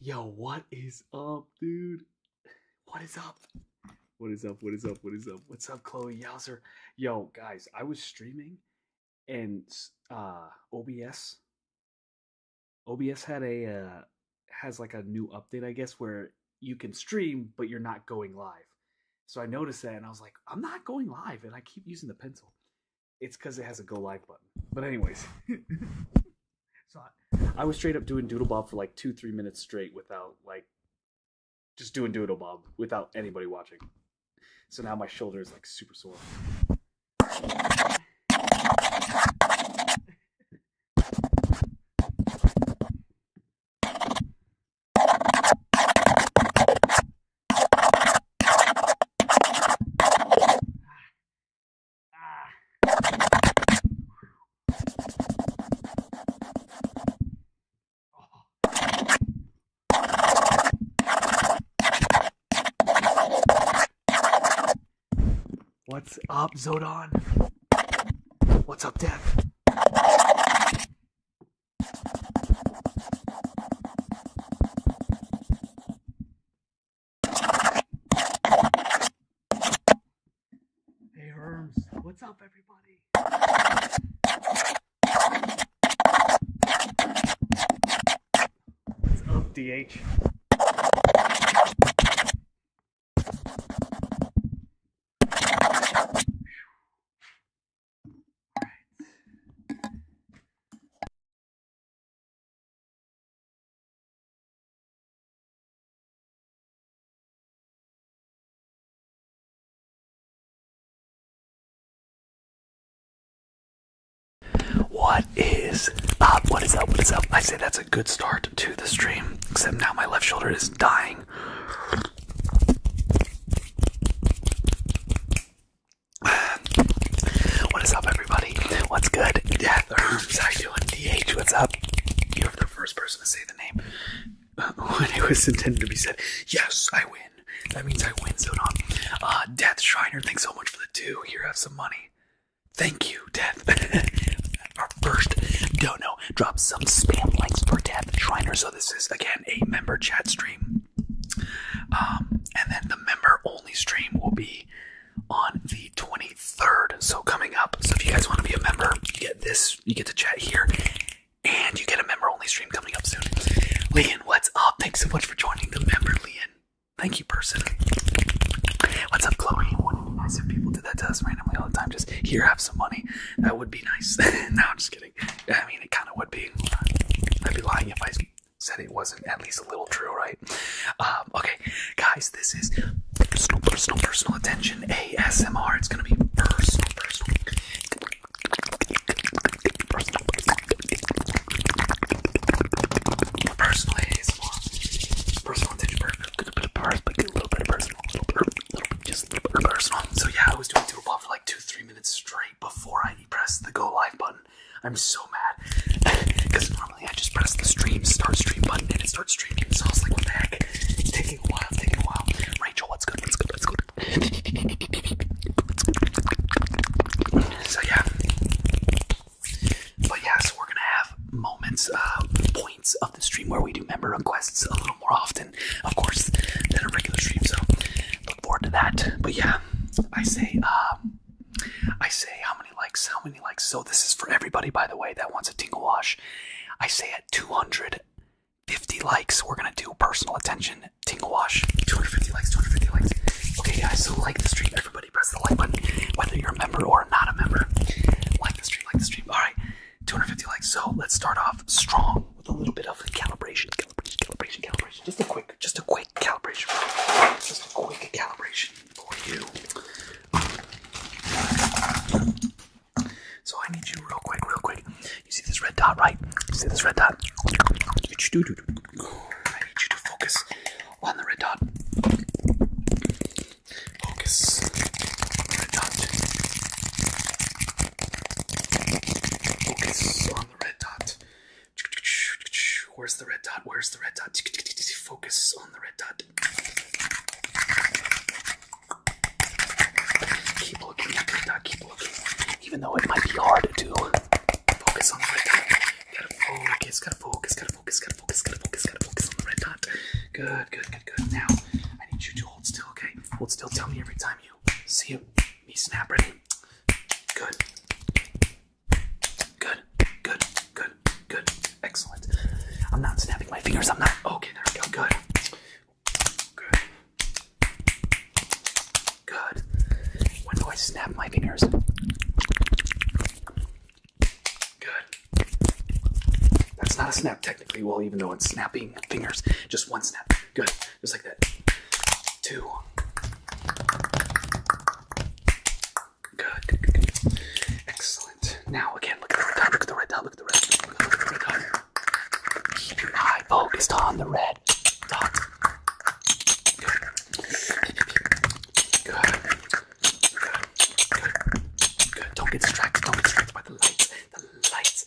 Yo, what is up, dude? What is up? What is up? What is up? What is up? What's up, Chloe Yowzer? Yo, guys, I was streaming and uh OBS OBS had a uh, has like a new update, I guess, where you can stream but you're not going live. So I noticed that and I was like, I'm not going live and I keep using the pencil it's because it has a go live button. But anyways, so I, I, was straight up doing Doodle Bob for like two, three minutes straight without like just doing Doodle Bob without anybody watching. So now my shoulder is like super sore. What's up, Zodan? What's up, Death? Hey Hermes. what's up everybody? What's up DH? What is up? What is up? What is up? I say that's a good start to the stream, except now my left shoulder is dying. What is up, everybody? What's good? Death Herms, how you doing? DH, what's up? You're the first person to say the name uh, when it was intended to be said. Yes, I win. That means I win, so on. Uh, Death Shriner, thanks so much for the two. Here, I have some money. Thank you, Death. Our first dono. drops some spam links for Death Shriner. So this is again a member chat stream. Um, and then the member only stream will be on the 23rd. So coming up. So if you guys want to be a member, you get this. You get to chat here, and you get a member only stream coming up soon. Leon, what's up? Thanks so much for joining the member, Leon. Thank you, person. What's up, Chloe? Wouldn't it be nice if people did that to us randomly all the time? Just here, have some money. That would be nice. Now, I'm just kidding. I mean, it kind of would be. I'd be lying if I Said it wasn't at least a little true, right? Um, okay, guys, this is personal, personal, personal attention ASMR. It's gonna be personal, personal, personal, personal, personal ASMR, personal attention, a little bit of personal, a little bit, little bit, just a little bit personal. So yeah, I was doing doodle pop for like two, three minutes straight before I pressed the go live button. I'm so mad because normally I just press the stream start stream button and it starts streaming. So I like, what the heck? taking a while. taking a while. Rachel, what's good? What's good? What's good? So yeah, but yeah, so we're gonna have moments, uh, points of the stream where we do member requests a little more often, of course, than a regular stream. So look forward to that. But yeah, I say, um, I say, how many likes? How many likes? So this is for everybody, by the way, that wants a tingle wash. I say at 250 likes, we're gonna do personal attention tingle wash. 250 likes, 250 likes. Okay, guys, so like the stream. Everybody, press the like button, whether you're a member or not a member. Like the stream, like the stream. All right, 250 likes. So let's start off strong with a little bit of calibration, calibration, calibration, calibration. Just a quick just a quick calibration. Just a quick calibration for you. So I need you real quick, real quick. You see this red dot, right? You see this red dot? I need you to focus on the red dot. Focus on the red dot. Focus on the red dot. Where's the red dot? Where's the red dot? Focus on the red dot. Keep looking at the red dot. Keep looking. Even though it might be hard to focus on the red dot. Gotta focus, gotta focus, gotta focus, gotta focus, gotta focus, gotta focus on the red dot. Good, good, good, good. Now, I need you to hold still, okay? Hold still. Tell me every time you see me snap. Ready? Good. Good. Good. Good. Good. Excellent. I'm not snapping my fingers. I'm not. Okay, there we go. Good. Good. Good. When do I snap my fingers? Good. That's not a snap technically. Well, even though it's snapping fingers, just one snap. Good. Just like that. Two. Good, Excellent. Now again, look at the red dot. Look at the red dot. Look at the red. dot. Keep your eye focused on the red Good. Good. Good. Good. Don't get distracted. Don't get distracted by the lights. The lights.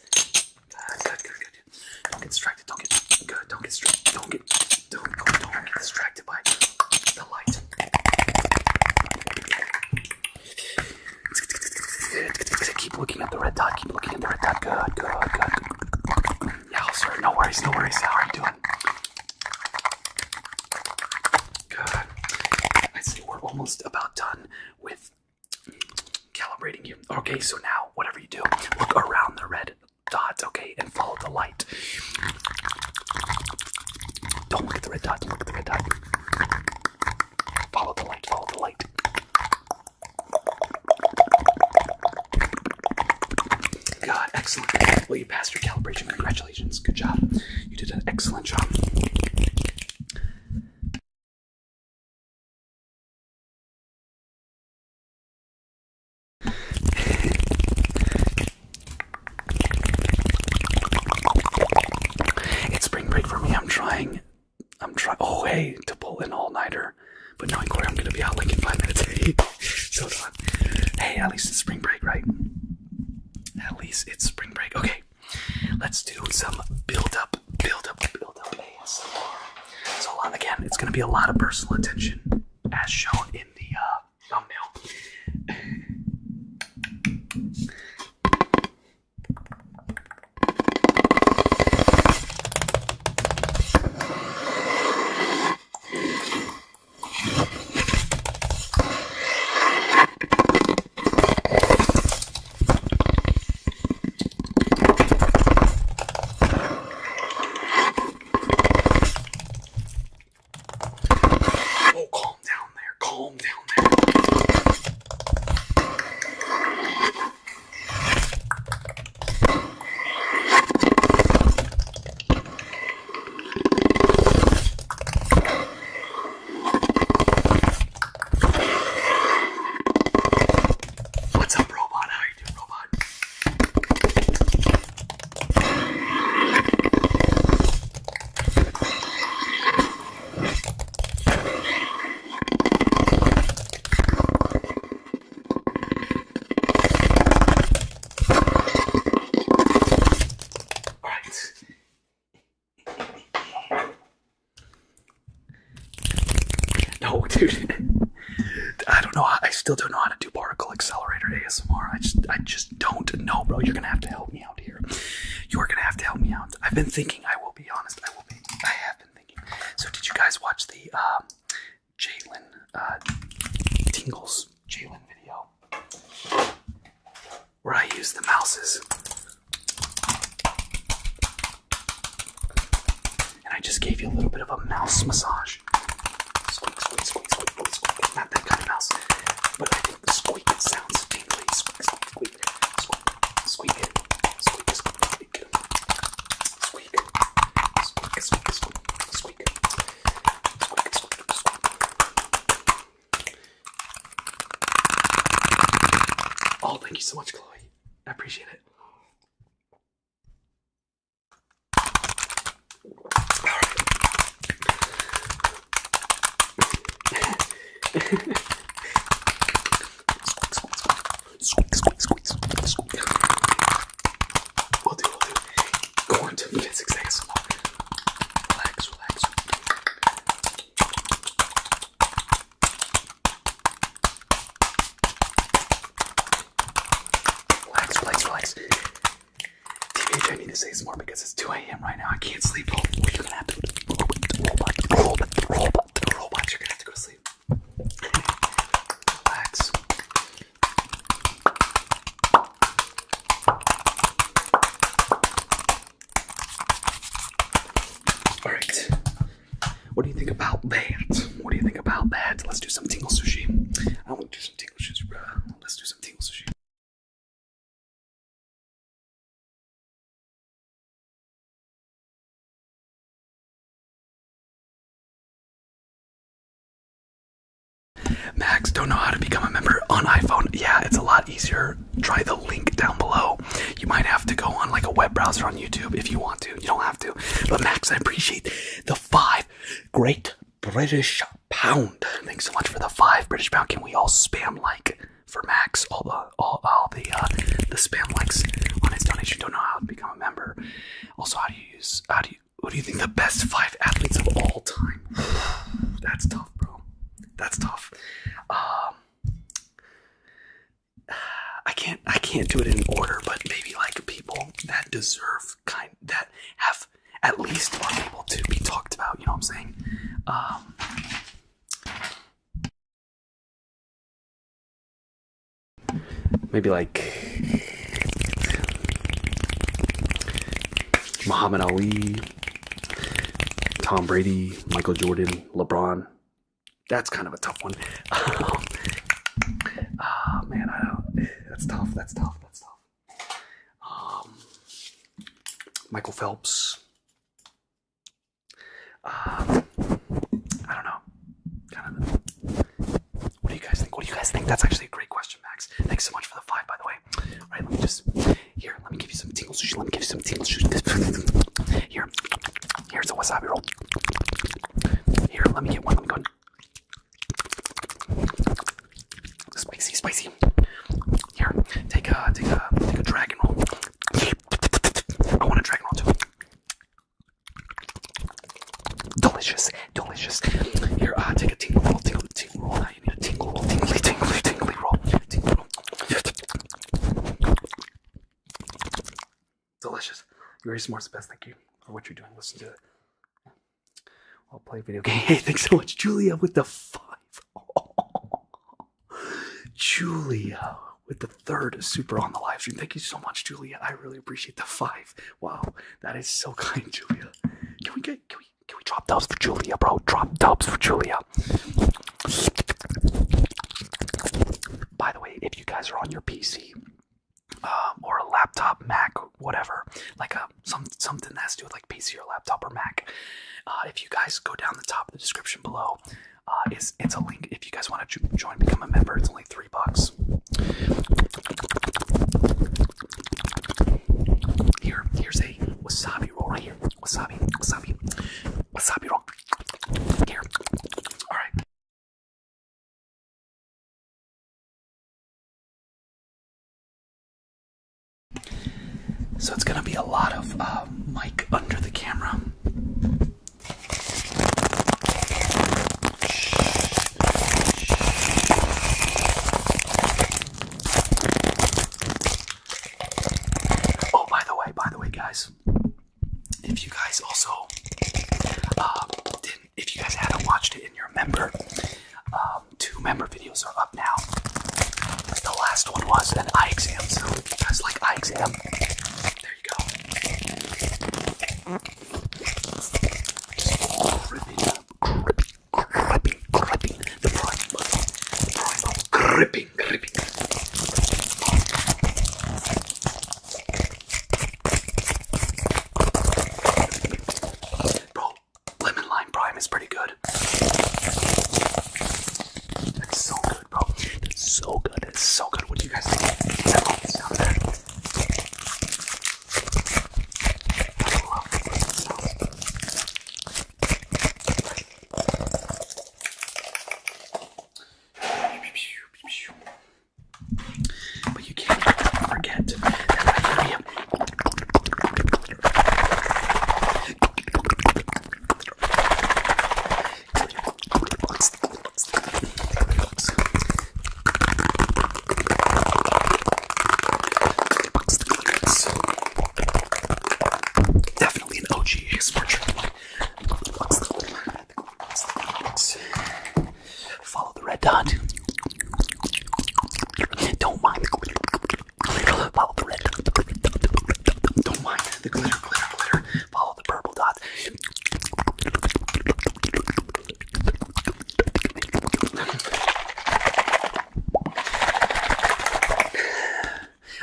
Ah, good. Good. good distracted. Don't get distracted. Don't get good. Don't get distracted. Don't get don't don't, don't get distracted by the light. Keep looking at the red dot. Keep looking at the red dot. Good, good, good. Yeah, sir. No worries. No worries. How are you doing? Good. I see we're almost about done with calibrating you. Okay, so now whatever you do, look around the red dots, okay, and follow the light. Don't look at the red dot, don't look at the red dot. Follow the light, follow the light. God, excellent. Well, you passed your calibration. Congratulations. Good job. You did an excellent job it's spring break for me. I'm trying. I'm trying. Oh, hey, to pull an all-nighter, but knowing Corey, I'm gonna be out like in five minutes. so done. Hey, at least it's spring break, right? At least it's spring break. Okay, let's do some build-up, build-up, build-up ASMR. So again, it's gonna be a lot of personal attention as shown in the uh, thumbnail. Oh, calm down there. Calm down there. What's up, robot? How you doing, robot? Alright. No, dude. I don't know. I still don't know how to do particle accelerator ASMR. I just, I just don't know, bro. You're gonna have to help me out here. You are gonna have to help me out. I've been thinking. I will be honest. I will be. I have been thinking. So, did you guys watch the um, Jalen uh, Tingles Jalen video where I use the mouses? And I just gave you a little bit of a mouse massage. Squeak, squeak, squeak, squeak, squeak, squeak. Not that kind of mouse. But I think the squeak sounds tingly. Squeak, squeak, squeak, squeak, squeak, squeak, squeak, squeak, squeak, squeak, squeak, squeak, squeak, squeak, squeak. Oh, thank you so much, Chloe. I appreciate it squeeze, squeeze, squeeze, squeeze, squeeze. We'll do, we'll do. Go on to physics ASMR. Relax, relax. Relax, relax, relax. TBH, I need to say some more because it's 2 a.m. right now. I can't sleep. Oh, you're gonna have to robot, robot, robot, robot. You're gonna have to go to sleep. Relax. All right. What do you think about that? What do you think about that? Let's do some tingle sushi. I want to do some tingle sushi, Let's do some tingle sushi. Max, don't know how to become a member on iPhone. Yeah, it's a lot easier. Try the link down below. You might have to go on like a web browser on YouTube if you want to. You don't have to. But Max, I appreciate the five Great British Pound. Thanks so much for the five British Pound. Can we all spam like for Max? All the all, the uh, the spam likes on his donation. Don't know how to become a member. Also, how do you use? How do you? Who do you think the best five athletes of all time? That's tough, bro. That's tough. Um, I can't I can't do it in order, but maybe like people that deserve kind that have at least are able to be talked about. You know what I'm saying? Um, maybe like Muhammad Ali, Tom Brady, Michael Jordan, LeBron. That's kind of a tough one. oh man, I don't. That's tough. That's tough. That's tough. Um, Michael Phelps. Um, I don't know. What do you guys think? What do you guys think? That's actually a great question, Max. Thanks so much for the five, by the way. All right, let me just here. Let me give you some tingle sushi. Let me give you some tingle sushi. here, here's a wasabi roll. Here, let me get one. Let me go. Spicy, spicy. Here, take a take a take a dragon roll. I want a dragon roll too. Delicious, delicious. Here, uh, take a tingle roll, tingle, tingle roll. Now you need a tingle roll, tingly, tingly, tingly roll, tingle roll. Delicious. You're is the best. Thank you for what you're doing. Listen to it. I'll play video game. Hey, thanks so much, Julia, with the five. Julia with the third super on the live stream. Thank you so much, Julia. I really appreciate the five. Wow, that is so kind, Julia. Can we get can we can we drop dubs for Julia, bro? Drop dubs for Julia. By the way, if you guys are on your PC um, or a laptop, Mac, whatever, like a some something that's to do with like PC or laptop or Mac. Uh, if you guys go down the top of the description below, uh, it's it's a link. If you guys want to join, become a member. It's only three bucks. Here, here's a wasabi roll right here. Wasabi, wasabi, wasabi roll. Here, all right. So it's going to be a lot of uh, mic under the camera. Oh, by the way, by the way, guys, if you guys also uh, if you guys haven't watched it and you're member, um, two member videos are up now. The last one was an eye exam, so if you guys like eye exam, there you go. Bro, lemon lime prime is pretty good. That's so good, bro. That's so good. That's so good. What do you guys think? But you can't forget that I am. Definitely an OG ASMR trick. Follow the red dot. Don't mind the glitter. Follow the red dot. Don't mind the glitter, glitter, Follow the purple dot.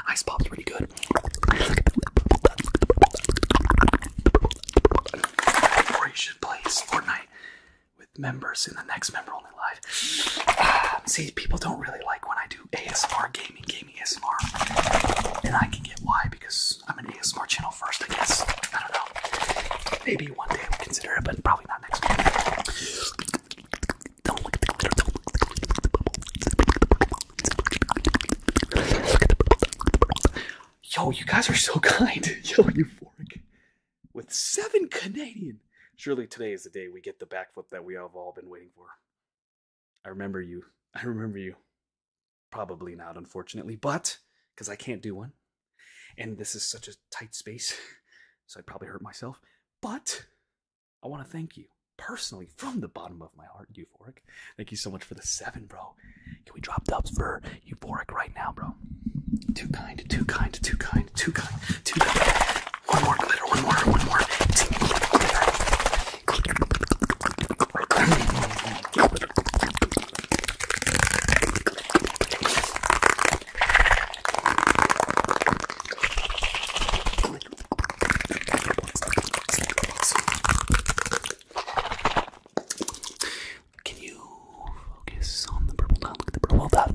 Ice pop's pretty good. Or you should play Fortnite with members in the next member only live. see, people don't really like when I do ASMR gaming, gaming ASMR, and I can get why because I'm an ASMR channel first, I guess. I don't know. Maybe one day we'll consider it, but probably not next week. Yo, you guys are so kind. Yo, you euphoric with seven Canadian. Surely today is the day we get the backflip that we have all been waiting for. I remember you. I remember you. Probably not, unfortunately, but because I can't do one. And this is such a tight space, so I'd probably hurt myself. But I want to thank you personally from the bottom of my heart, Euphoric. Thank you so much for the seven, bro. Can we drop dubs for euphoric right now, bro? Too kind, too kind, too kind, too kind, too kind. One more glitter, one more, one more. Can you focus on the purple dot? the purple dot.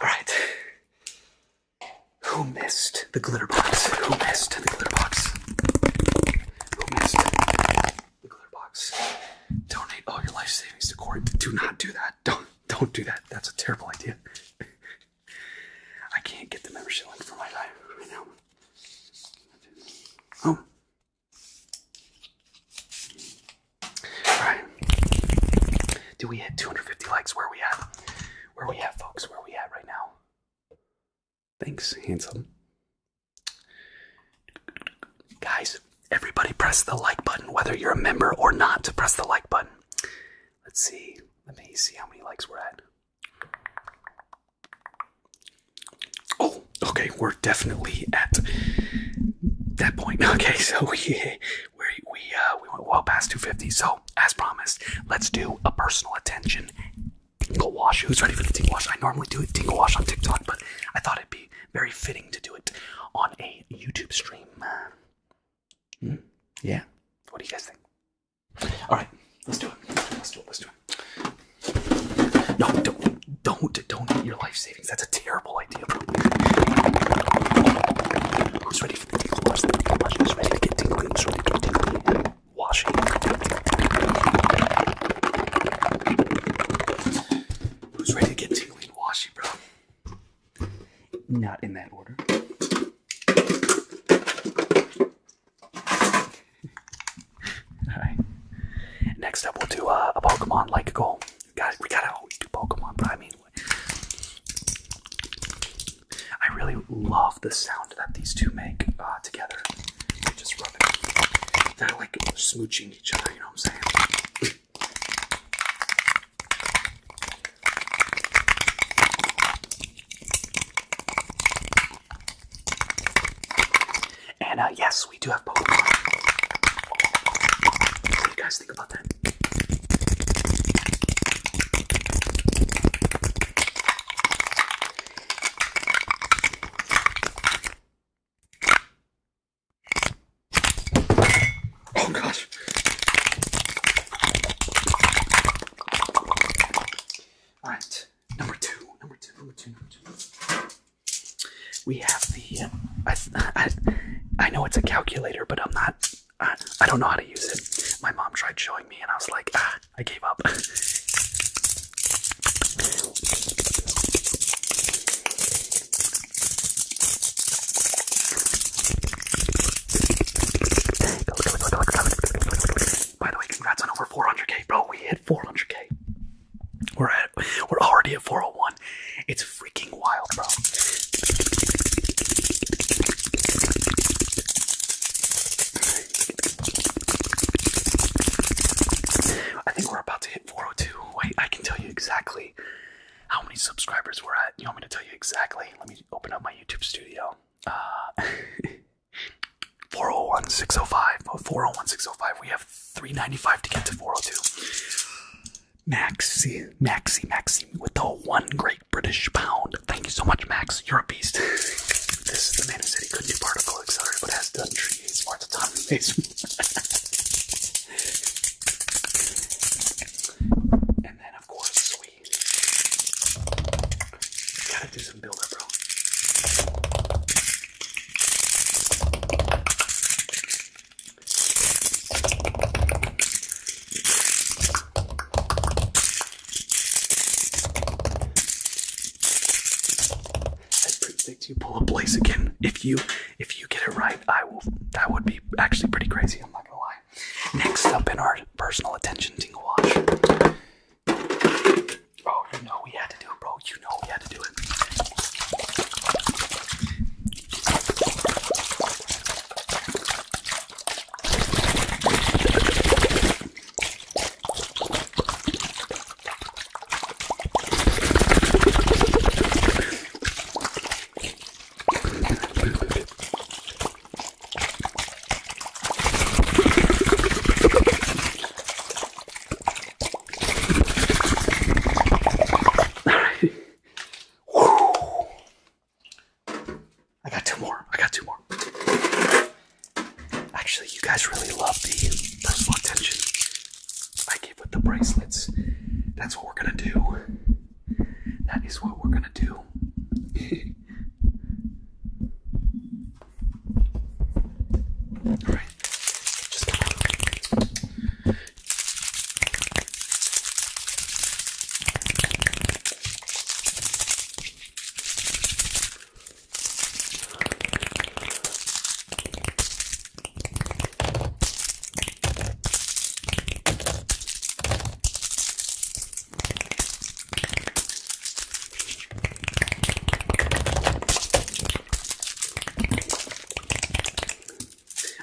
All right. Who missed the glitter box? Who missed the glitter box? Who missed the glitter box? Donate all your life savings to Corey. Do not do that. Don't. Don't do that. That's a terrible idea. I can't get the membership link for my life. right now. Oh. Alright. Do we hit 250 likes? Where we at? Where we at, folks? Where we at right now? Thanks, handsome. Guys, Everybody press the like button, whether you're a member or not, To press the like button. Let's see. Let me see how many likes we're at. Oh, okay, we're definitely at that point. Okay, so we we uh, we went well past 250. So as promised, let's do a personal attention tingle wash. Who's ready for the tingle wash? I normally do a tingle wash on TikTok, but I thought it'd be very fitting to do it on a YouTube stream. Hmm. Yeah. What do you guys think? All right, let's do it. Let's do it. Let's do it. No, don't, don't, don't eat your life savings. That's a terrible idea. Who's ready for the tinkle wash? Who's ready to get tingly? Who's ready to get tingly? Washy. Who's ready to get tingly Washy, bro? Not in that order. Alright. Next up, we'll do uh, a Pokemon like goal. Guys, we gotta always do Pokemon, but I mean, I really love the sound that these two make uh, together. They're just rubbing. They're like smooching each other, you know what I'm saying? And uh, yes, we do have Pokemon. What do you guys think about that? Oh gosh. All right, number two, number two, number two, number two. We have the. I, I, I know it's a calculator, but I'm not. I, I don't know how to use it. My mom tried showing me, and I was like, ah, I gave up. By the way, congrats on over 400k, bro. We hit 400k. We're at, we're already at 401. It's freaking wild, bro. I think we're about to hit 402. Wait, I can tell you exactly how many subscribers we're at. You want me to tell you exactly? Let me open up my YouTube studio. Uh, 401 605. 401 605. We have 395 to get to 402. Maxi, Maxi, Maxi with the one great British pound. Thank you so much, Max. You're a beast. this is the man who said he couldn't do particle accelerator, but has done three as far the time and and then, of course, we gotta do some build up, bro. I predict you pull a place again. If you if you get it right, I will. That would be actually pretty crazy. I'm not gonna lie. Next up in our personal attention tingle watch. Oh, you know we had to do it, bro. You know we had to do it. I got two more. I got two more. Actually, you guys really love the personal attention I gave with the bracelets. That's what we're gonna do. That is what we're gonna do. All right.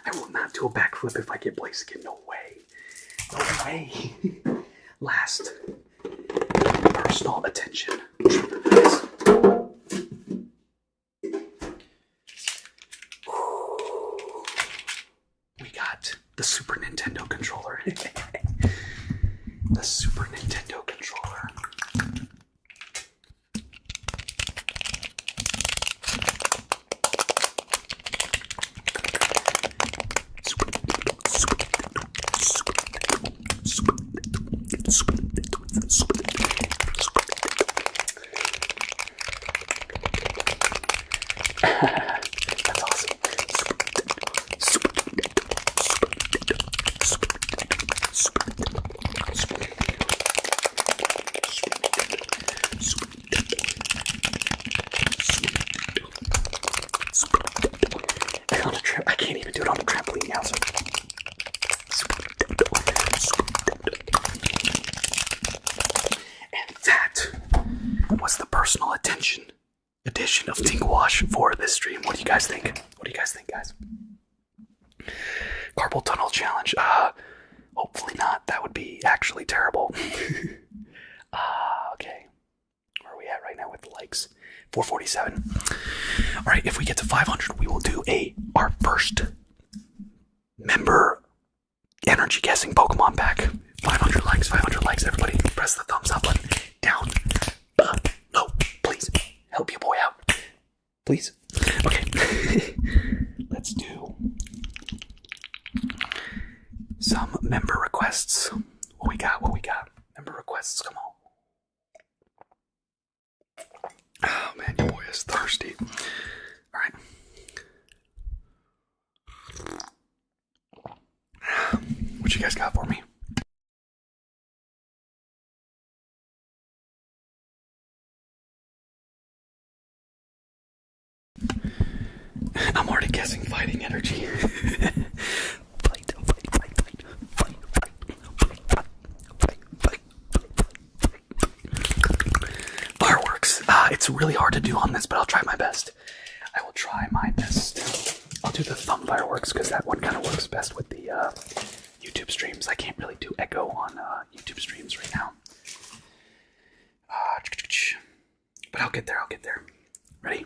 I will not do a backflip if I get Blaze again. No way. No way. Last personal attention we got the Super Nintendo controller. the Super Nintendo controller. That's awesome. on a trip, I can't even do it on a trampoline and that was the personal attention edition of Tingle Wash for this stream. What do you guys think? What do you guys think, guys? Carpal tunnel challenge. Uh, hopefully not. That would be actually terrible. uh, okay. Where are we at right now with likes? 447. All right, if we get to 500, we will do a our first member energy guessing Pokemon pack. 500 likes, 500 likes. Everybody press the thumbs up button down No, Please help your boy out. Please. Okay. Let's do some member requests. What we got? What we got? Member requests. Come on. Oh man, your boy is thirsty. All right. What you guys got for me? I'm already guessing fighting energy. fight, fight, fight, fight, fight, fight, fight, fight, fight, fight, fight, Fireworks. Uh, it's really hard to do on this, but I'll try my best. I will try my best. I'll do the thumb fireworks because that one kind of works best with the uh, YouTube streams. I can't really do echo on uh, YouTube streams right now. Uh, but I'll get there. I'll get there. Ready?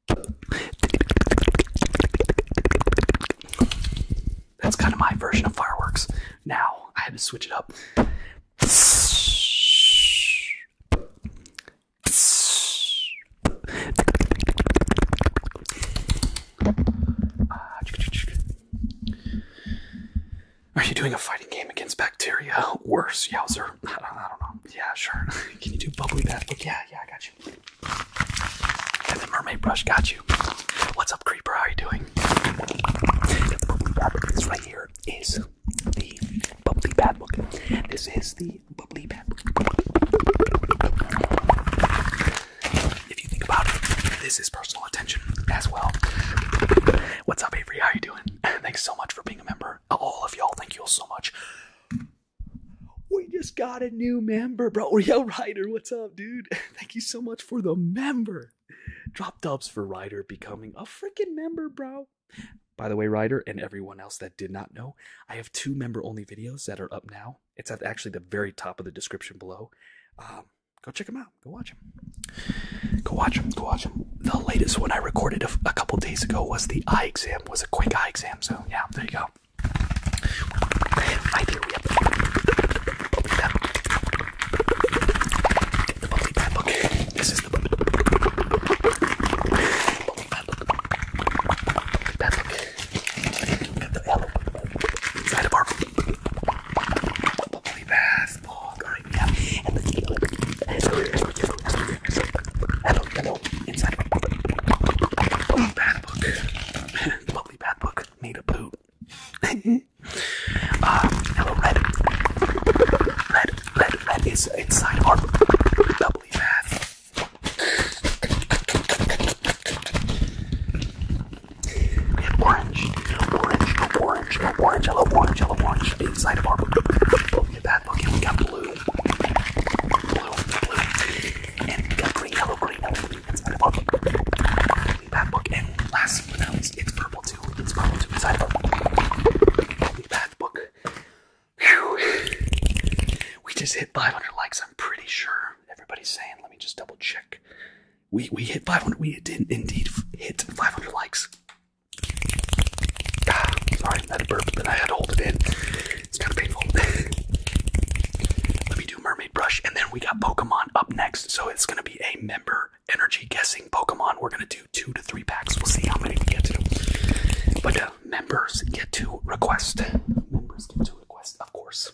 That's kind of my version of fireworks. Now I have to switch it up. Are you doing a fighting game against bacteria? Worse, Yowzer. I don't know. Yeah, sure. Can you do bubbly bath? Yeah, yeah, I got you. And the mermaid brush got you. What's up, creeper? How are you doing? This right here is the bubbly bad book. This is the bubbly bad book. If you think about it, this is personal attention as well. What's up, Avery? How you doing? Thanks so much for being a member. All of y'all, thank you all so much we just got a new member, bro. We Yo, Ryder, what's up, dude? Thank you so much for the member. Drop dubs for Ryder becoming a freaking member, bro. By the way, Ryder, and everyone else that did not know, I have two member only videos that are up now. It's actually the very top of the description below. Um, go check them out. Go watch them. Go watch them. Go watch them. The latest one I recorded a, a couple days ago was the eye exam, was a quick eye exam. So, yeah, there you go. My theory of the bubbly pep. The bubbly pep. Okay, this is the bubbly pep. Bubbly pep. Bubbly pep. And the yellow inside of our bubbly bath. Oh, right, yeah. And the yellow. Hello, hello. Inside of our bubbly bath book really bad book made a poop. Uh, hello, red. red, red, red is inside our doubly bad. We orange, orange, orange, orange, yellow, orange, yellow, orange, inside of our doubly bad book, and we got blue, blue, blue, and we got green, yellow, green, it's in the book. And last but not it's purple too. It's purple too. It's that book. book. We just hit 500 likes. I'm pretty sure everybody's saying. Let me just double check. We we hit 500. We did indeed hit 500 likes. Ah, sorry, that burp, but I had to hold it in. It's kind of painful. Let me do mermaid. Brush, and then we got Pokemon up next. So it's gonna be a member energy guessing Pokemon. We're gonna do two to three packs. We'll see how many we get to. But uh, members get to request. Members get to request, of course,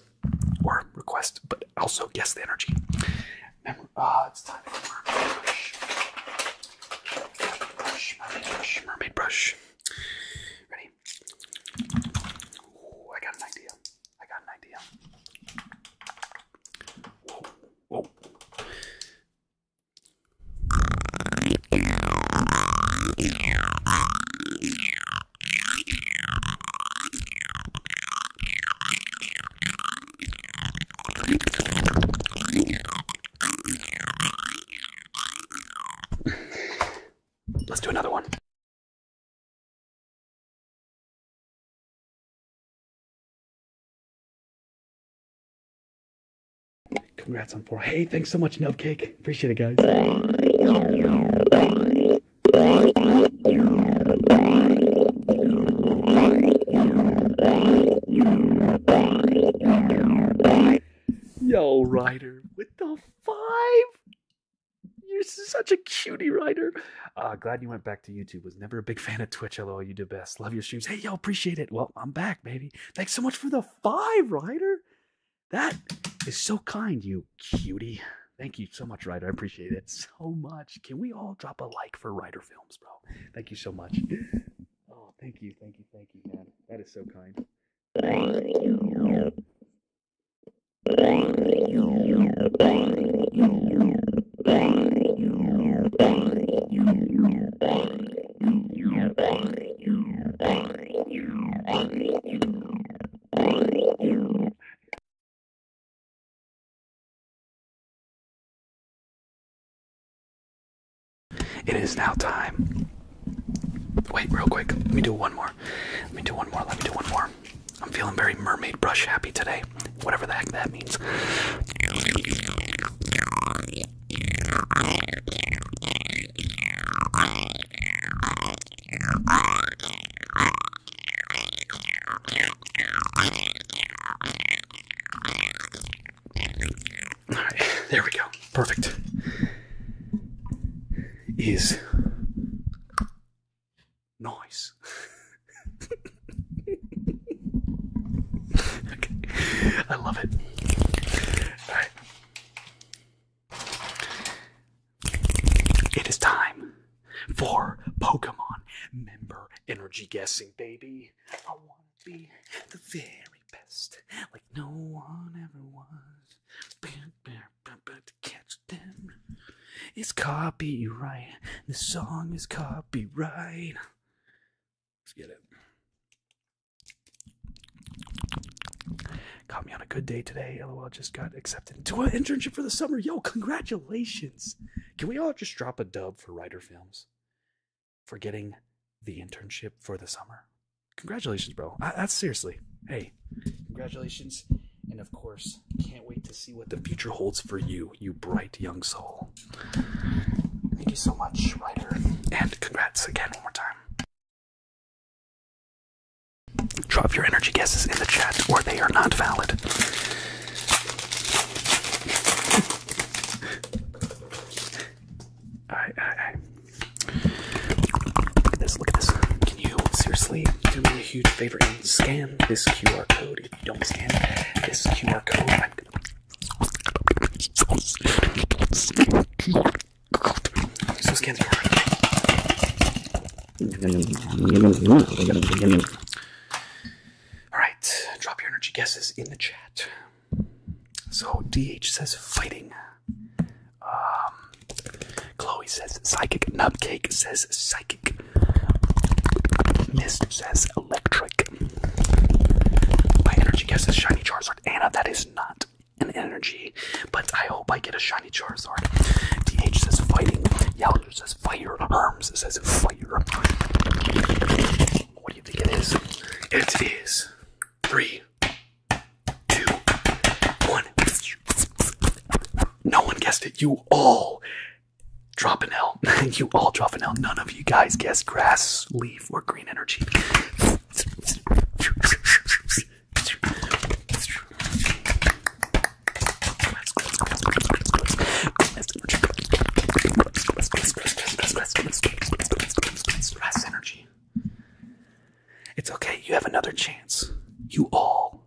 or request, but also guess the energy. Uh, Mermaid Brush. Mermaid Brush. Mermaid Brush. Ready? I got an idea. I got an idea. Let's do another one. Congrats on four. Hey, thanks so much, Nubcake. Appreciate it, guys. Yo, Ryder, with the five? You're such a cutie writer. Uh, glad you went back to YouTube. Was never a big fan of Twitch. Hello, you do best. Love your streams. Hey, yo, appreciate it. Well, I'm back, baby. Thanks so much for the five, Ryder. That is so kind, you cutie. Thank you so much, Ryder. I appreciate it so much. Can we all drop a like for Ryder Films, bro? Thank you so much. Oh, thank you, thank you, thank you, man. That is so kind. It is now time. Wait, real quick. Let me do one more. Let me do one more. Let me do one more. I'm feeling very mermaid brush happy today. Whatever the heck that means. All right, there we go. Perfect is nice. okay, I love it. All right. It is time for Pokemon member energy guessing, baby. I want be the very best, like no one ever was. But to catch them it's copyright. The song is copyright. Let's get it. Caught me on a good day today. LOL just got accepted to an internship for the summer. Yo, congratulations. Can we all just drop a dub for Writer Films for getting the internship for the summer? Congratulations, bro. I, that's seriously. Hey, Congratulations. And of course, can't wait to see what the future holds for you, you bright young soul. Thank you so much, writer. And congrats again one more time. Drop your energy guesses in the chat or they are not valid. Alright, alright, alright. Look at this, look at this. Can you seriously do me a huge favor and scan this QR code. If you don't scan this QR code, I'm gonna so scan the QR code. Alright, drop your energy guesses in the chat. So DH says fighting. Um, Chloe says psychic. Nubcake says psychic. Mist says electric. My energy guess is shiny Charizard. Anna, that is not an energy, but I hope I get a shiny Charizard. DH says fighting. Yowler says fire. Arms says fire. What do you think it is? It is three, two, one. No one guessed it. You all drop an L. you all drop an L. None of you guys guess grass, leaf, or green energy. Stress energy. It's okay, you have another chance. You all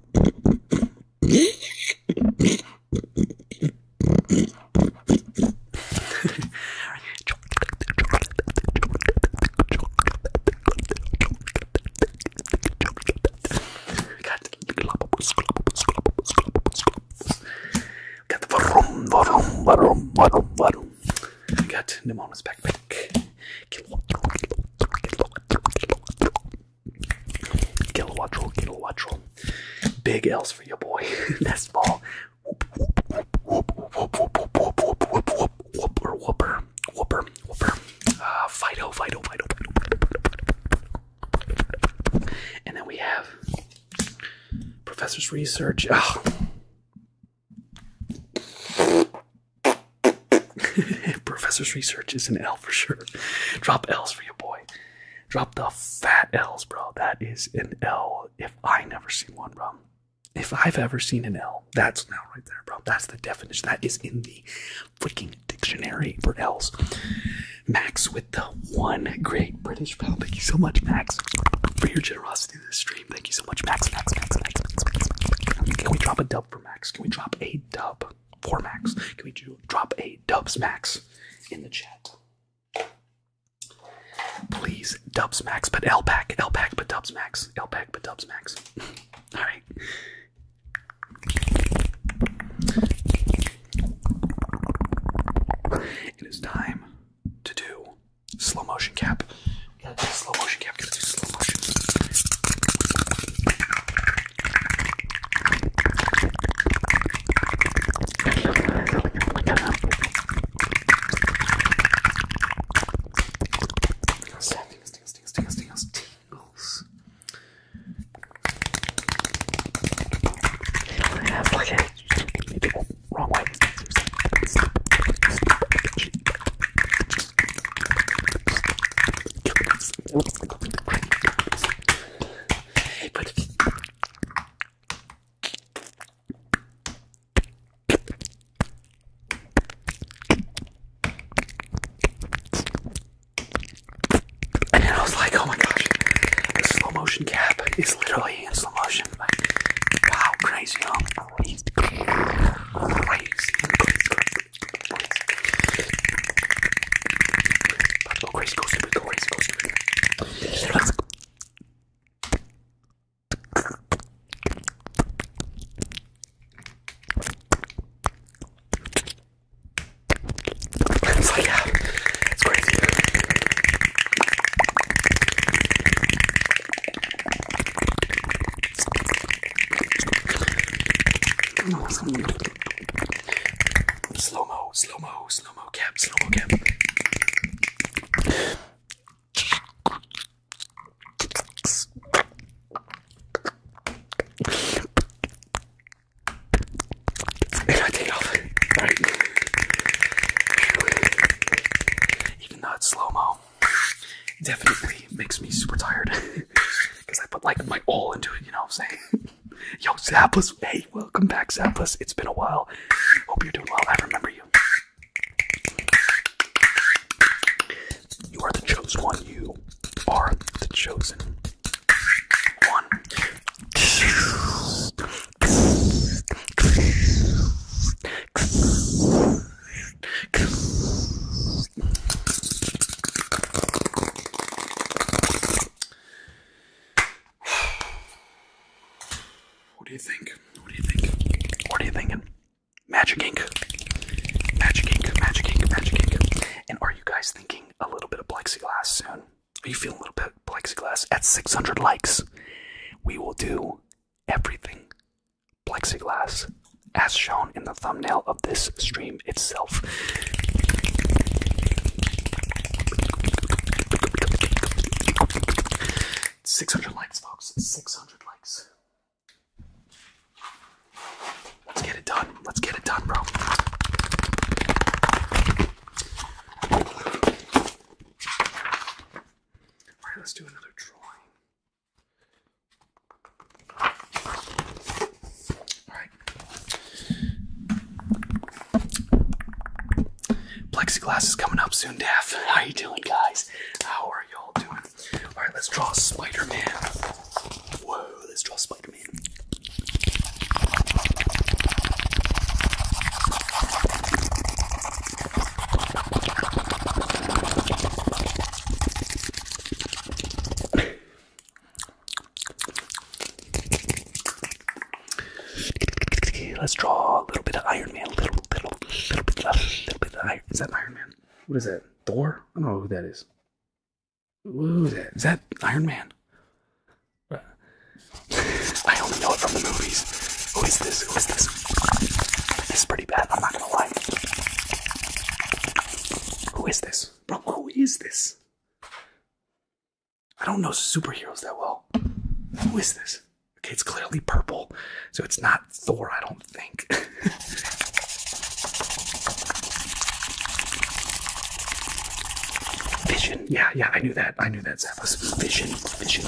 Got the varum, varum, varum, varum, varum. I got Nemona's backpack. Kilowatt roll, kilowatt roll. Big L's for your boy. That's small. Whoop, whoop, whoop, whoop, whoop, whoop, whoop, whoop, whooper, whooper, whooper, whooper. Uh, Fido, Fido, Fido, Fido. And then we have Professor's Research. Oh. Professor's research is an L for sure. Drop L's for your boy. Drop the fat L's, bro. That is an L. If I never see one, bro. If I've ever seen an L, that's now right there, bro. That's the definition. That is in the freaking dictionary for L's. Max with the one great British pound. Thank you so much, Max, for your generosity in this stream. Thank you so much, Max. Max, Max, Max, Max, Max, Max. Can we drop a dub for Max? Can we drop a dub? four max. Can we drop a dubs max in the chat? Please, dubs max, but L pack, L pack, but dubs max, L pack, but dubs max. All right. It is time to do slow motion cap. slow motion cap. I'm gonna do slow motion. Tingles, tingles, tingles, tingles, tingles, tingles. Wrong way. And then I was like, oh my gosh, the slow motion cap is literally in slow motion. wow, crazy, But go crazy, go stupid, go crazy, go stupid. It's like that. It's crazy. Slow mo, slow mo, slow mo cap, slow mo cap. And I take off. Even though it's slow mo, definitely it makes me super tired because I put like my all into it. You know what I'm saying? Yo, Zappus, hey, welcome back, Zappus. It's been a while. Hope you're doing well. I remember you. You are the chosen one. You are the chosen one. What do you think? What do you think? What are you thinking? Magic ink. Magic ink, magic ink, magic ink. And are you guys thinking a little bit of plexiglass soon? Are you feeling a little bit plexiglass? At 600 likes, we will do everything plexiglass as shown in the thumbnail of this stream itself. Six hundred likes, folks. Six hundred likes. Let's get it done. Let's get it done, bro. Alright, let's do another drawing. Plexiglass is coming up soon, Daff. How you doing, guys? How are y'all doing? All right, let's draw Spider-Man. Whoa, let's draw Spider-Man. Let's draw a little bit of Iron Man. A little, little bit, little bit of Iron. Is that Iron Man? What is that? Thor? I don't know who that is. Who's that? Is that Iron Man? I only know it from the movies. Who is this? Who is this? This is pretty bad. I'm not gonna lie. Who is this? Bro, who is this? I don't know superheroes that well. Who is this? Okay, it's clearly purple, so it's not Thor, I don't think. Vision. Yeah, yeah, I knew that. I knew that, Zappos. Vision. Vision.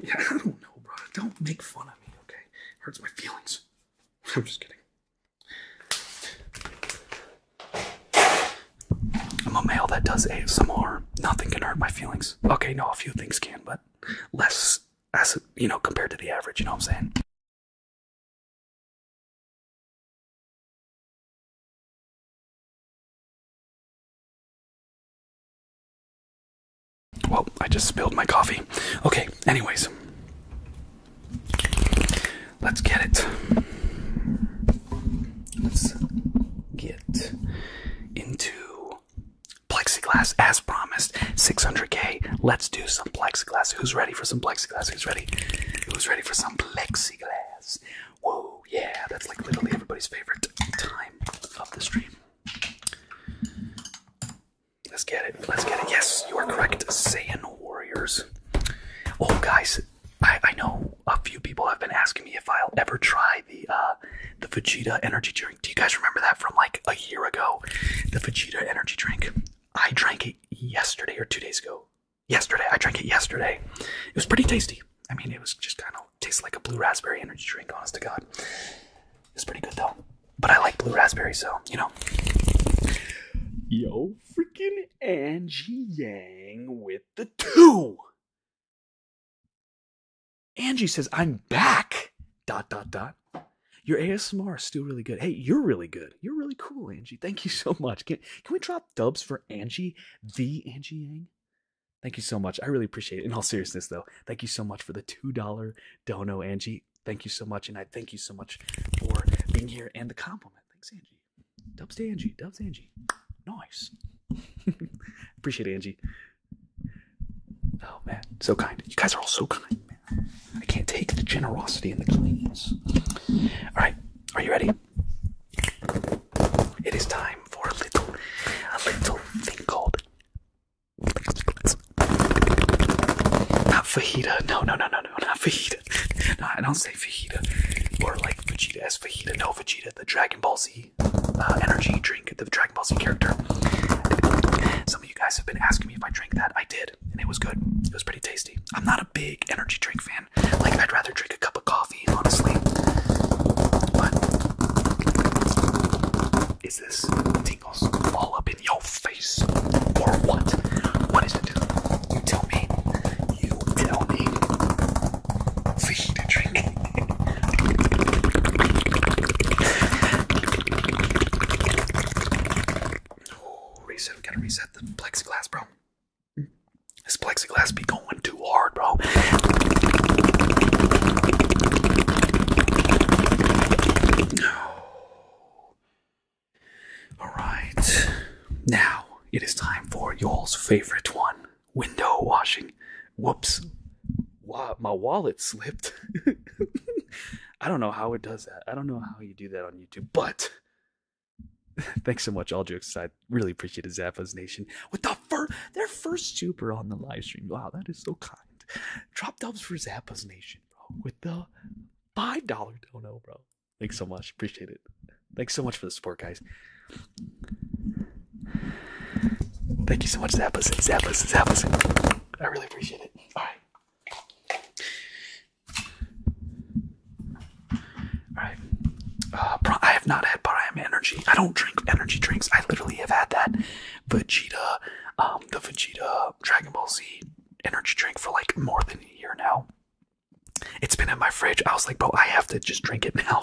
Yeah, I don't know, bro. Don't make fun of me, okay? It hurts my feelings. I'm just kidding. I'm a male that does ASMR. Nothing can hurt my feelings. Okay, no, a few things can, but less as you know compared to the average you know what i'm saying well i just spilled my coffee okay anyways let's get it let's get into Plexiglass as promised. 600k. Let's do some plexiglass. Who's ready for some plexiglass? Who's ready? Who's ready for some plexiglass? Whoa, yeah, that's like literally everybody's favorite time of the stream. Let's get it. Let's get it. Yes, you are correct. Saiyan Warriors. Oh, guys, I, I know a few people have been asking me if I'll ever try the uh, the Vegeta energy drink. Do you guys remember that from like a year ago? The Vegeta energy drink. I drank it yesterday or two days ago. Yesterday, I drank it yesterday. It was pretty tasty. I mean, it was just kind of tastes like a blue raspberry energy drink. Honest to God, it's pretty good though. But I like blue raspberry, so you know. Yo, freaking Angie Yang with the two. Angie says, I'm back. Dot, dot, dot. Your ASMR is still really good. Hey, you're really good. You're really cool, Angie. Thank you so much. Can, we drop dubs for Angie, the Angie Yang? Thank you so much. I really appreciate it. In all seriousness, though, thank you so much for the $2 dono, Angie. Thank you so much. And I thank you so much for being here and the compliment. Thanks, Angie. Dubs to Angie. Dubs Angie. Nice. appreciate it, Angie. Oh man, so kind. You guys are all so kind, man. I can't take the generosity and the kindness. Alright, are you ready? It is time for a little a little thing called not fajita. No, no, no, no, no, not fajita. No, I don't say fajita. Or like Vegeta as fajita. No, Vegeta, the Dragon Ball Z uh, energy drink, the Dragon Ball Z character. Some of you guys have been asking me if I drank that. I did, and it was good. It was pretty tasty. I'm not a big energy drink fan. Like, I'd rather drink a cup of coffee, honestly. But is this tingles all up in your face or what? What is it You tell me. You tell me. Feed a drink. Oh, reset. We gotta reset the plexiglass, bro. This plexiglass be going too hard, bro. All right. Now it is time for y'all's favorite one window washing whoops, my wallet slipped. I don't know how it does that. I don't know how you do that on YouTube, but thanks so much. All jokes aside, really appreciate Zappa's Nation. With the first, their first super on the live stream. Wow, that is so kind. Drop dubs for Zappa's Nation, With the $5 dono, bro. Thanks so much. Appreciate it. Thanks so much for the support, guys. Thank you so much, Zappas, Zappas, Zappas. I really appreciate it. All right. All right. Uh, I have not had Prime Energy. I don't drink energy drinks. I literally have had that Vegeta, um, the Vegeta Dragon Ball Z energy drink for like more than a year now. It's been in my fridge. I was like, bro, I have to just drink it now.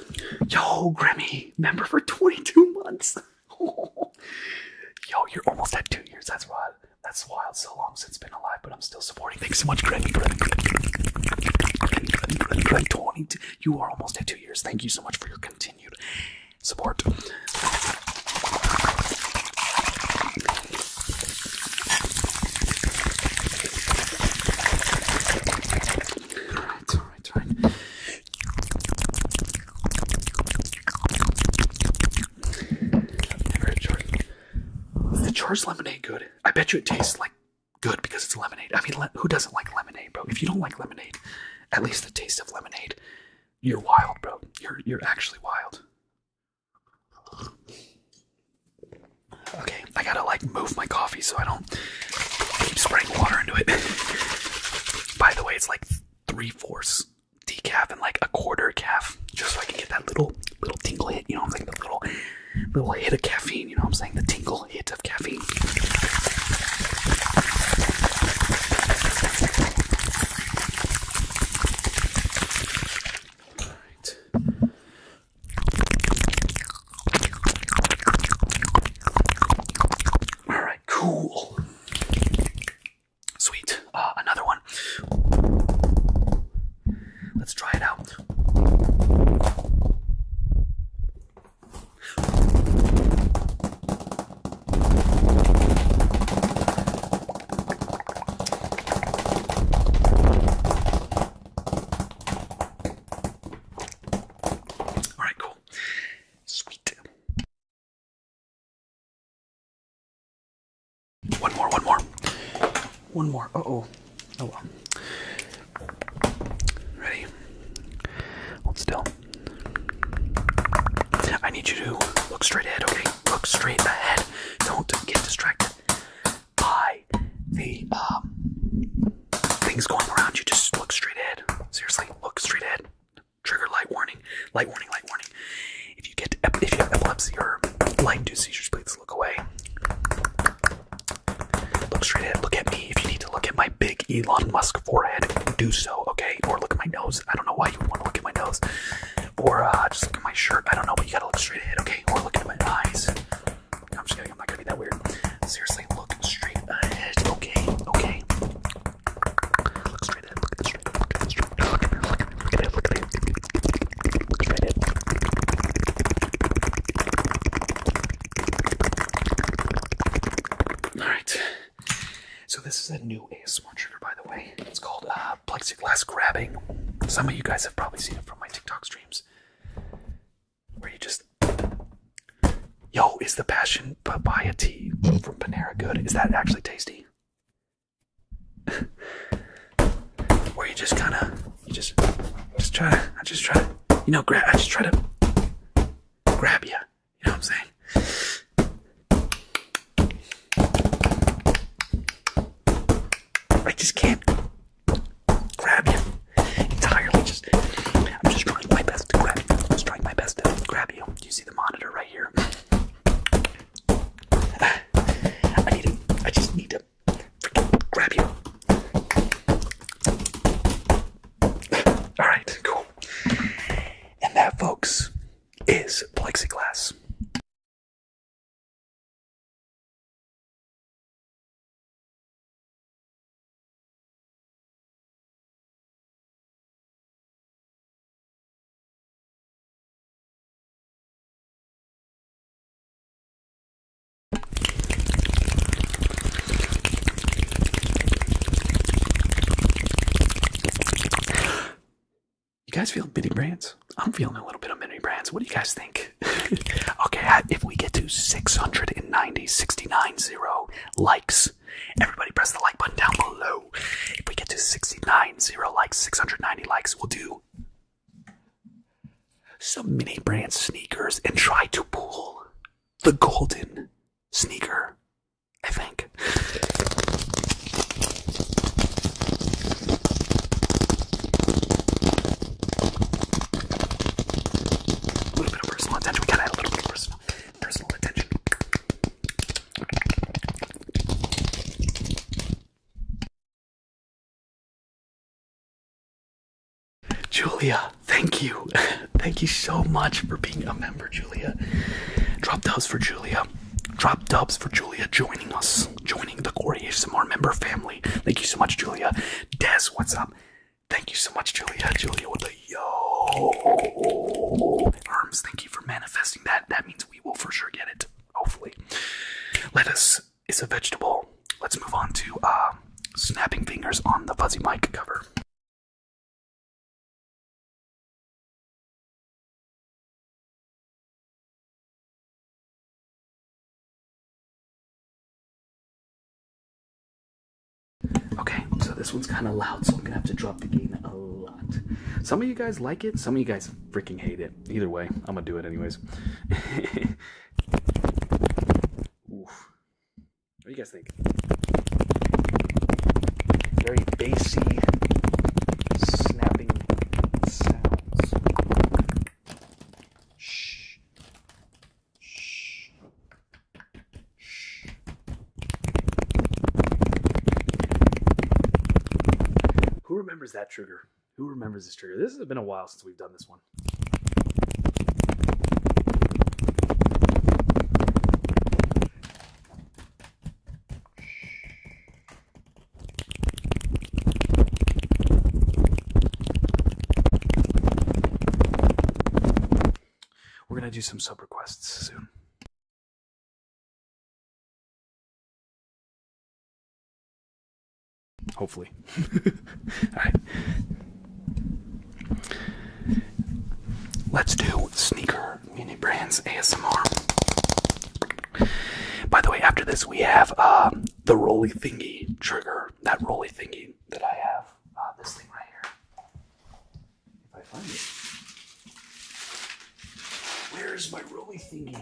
Yo, Grimmy, member for 22 months. Yo, you're almost at two years. That's wild. That's wild. So long since been alive, but I'm still supporting. Thanks so much, Grimmy. Grimmy, 22. You are almost at two years. Thank you so much for your continued support. All right, all right, all right the George lemonade good? I bet you it tastes like good because it's lemonade. I mean, who doesn't like lemonade, bro? If you don't like lemonade, at least the taste of lemonade. You're wild, bro. You're you're actually wild. Okay, I gotta like move my coffee so I don't know. I keep spraying water into it. By the way, it's like three-fourths decaf and like a quarter calf, just so I can get that little little tingle hit, you know what I'm saying? The little little hit of caffeine, you know what I'm saying? The tingle hit of caffeine. All right. All right cool. Sweet. Uh, another one. Let's try it out. All right, cool. Sweet. One more, one more. One more. Uh oh. Oh well. Ready? Hold still. I need you to look straight ahead, okay? Look straight ahead. Don't get distracted by the um things going around you, just look straight ahead. Seriously, look straight ahead. Trigger light warning, light warning, light warning. If you get if you have epilepsy or light-induced seizures, please look away. Look straight ahead. Look at me. If you need to look at my big Elon Musk forehead, do so. Okay, or look at my nose. I don't know why you would want to look at my nose, or uh, just look at my shirt. I don't know, but you gotta look straight ahead. Okay, or look at my eyes. I'm just kidding. I'm not gonna be that weird. Seriously, look straight ahead. Okay, okay. Look straight ahead. Look straight ahead. Look straight ahead. Look at look at look at it, look at it. Look straight ahead. All right. So this is a new ASMR trigger, by the way. It's called uh, plexiglass grabbing. Some of you guys have probably seen it from my TikTok streams, where you just Yo, is the passion papaya tea from Panera good? Is that actually tasty? Where you just kind of, you just, just try to, I just try to, you know, grab, I just try to grab you. You know what I'm saying? I just can't grab you entirely. Just I'm just trying my best to grab you. I'm just trying my best to grab you. you see the monitor right here? I need to, I just need to freaking grab you. All right, cool. And that, folks, is plexiglass. You guys feel mini brands? I'm feeling a little bit of mini brands. What do you guys think? okay, if we get to 690, 690 likes, Everybody press the like button down below. If we get to 69, zero likes, 690 likes, we'll do some mini brand sneakers and try to pull the golden sneaker, I think. A little bit of personal attention. We got add a little bit of personal personal attention. Julia, thank you. thank you so much for being a member, Julia. Drop dubs for Julia. Drop dubs for Julia joining us, joining the Corey HSMR member family. Thank you so much, Julia. Dez, what's up? Thank you so much, Julia. Julia with a yo. Arms, thank you for manifesting that. That means we will for sure get it. Hopefully. Lettuce is a vegetable. Let's move on to uh, snapping fingers on the fuzzy mic cover. Okay, so this one's kind of loud, so I'm gonna have to drop the gain a lot. Some of you guys like it, some of you guys freaking hate it. Either way, I'm gonna do it anyways. What do you guys think? Very bassy, snapping sounds. Shh. Shh. Who remembers that trigger? Who remembers this trigger? This has been a while since we've done this one. We're gonna do some sub requests soon. Hopefully. Alright. Let's do sneaker mini brands ASMR. By the way, after this, we have uh, the Rolly Thingy trigger. That Rolly Thingy that I have. Uh, this thing right here. If I find it. Where's my roly thingy?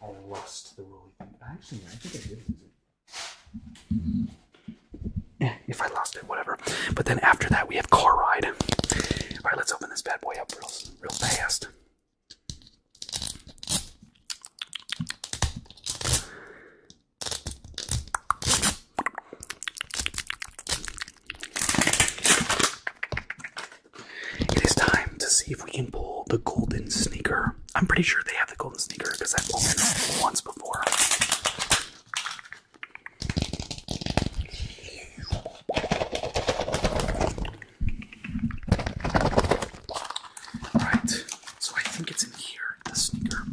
I lost the roly thingy. Actually, I think I did lose it. if I lost it, whatever. But then after that, we have car ride. All right, let's open this bad boy up real, real fast. It is time to see if we can pull the golden sneaker. I'm pretty sure they have the golden sneaker because I've pulled it once before. Alright, so I think it's in here, the sneaker.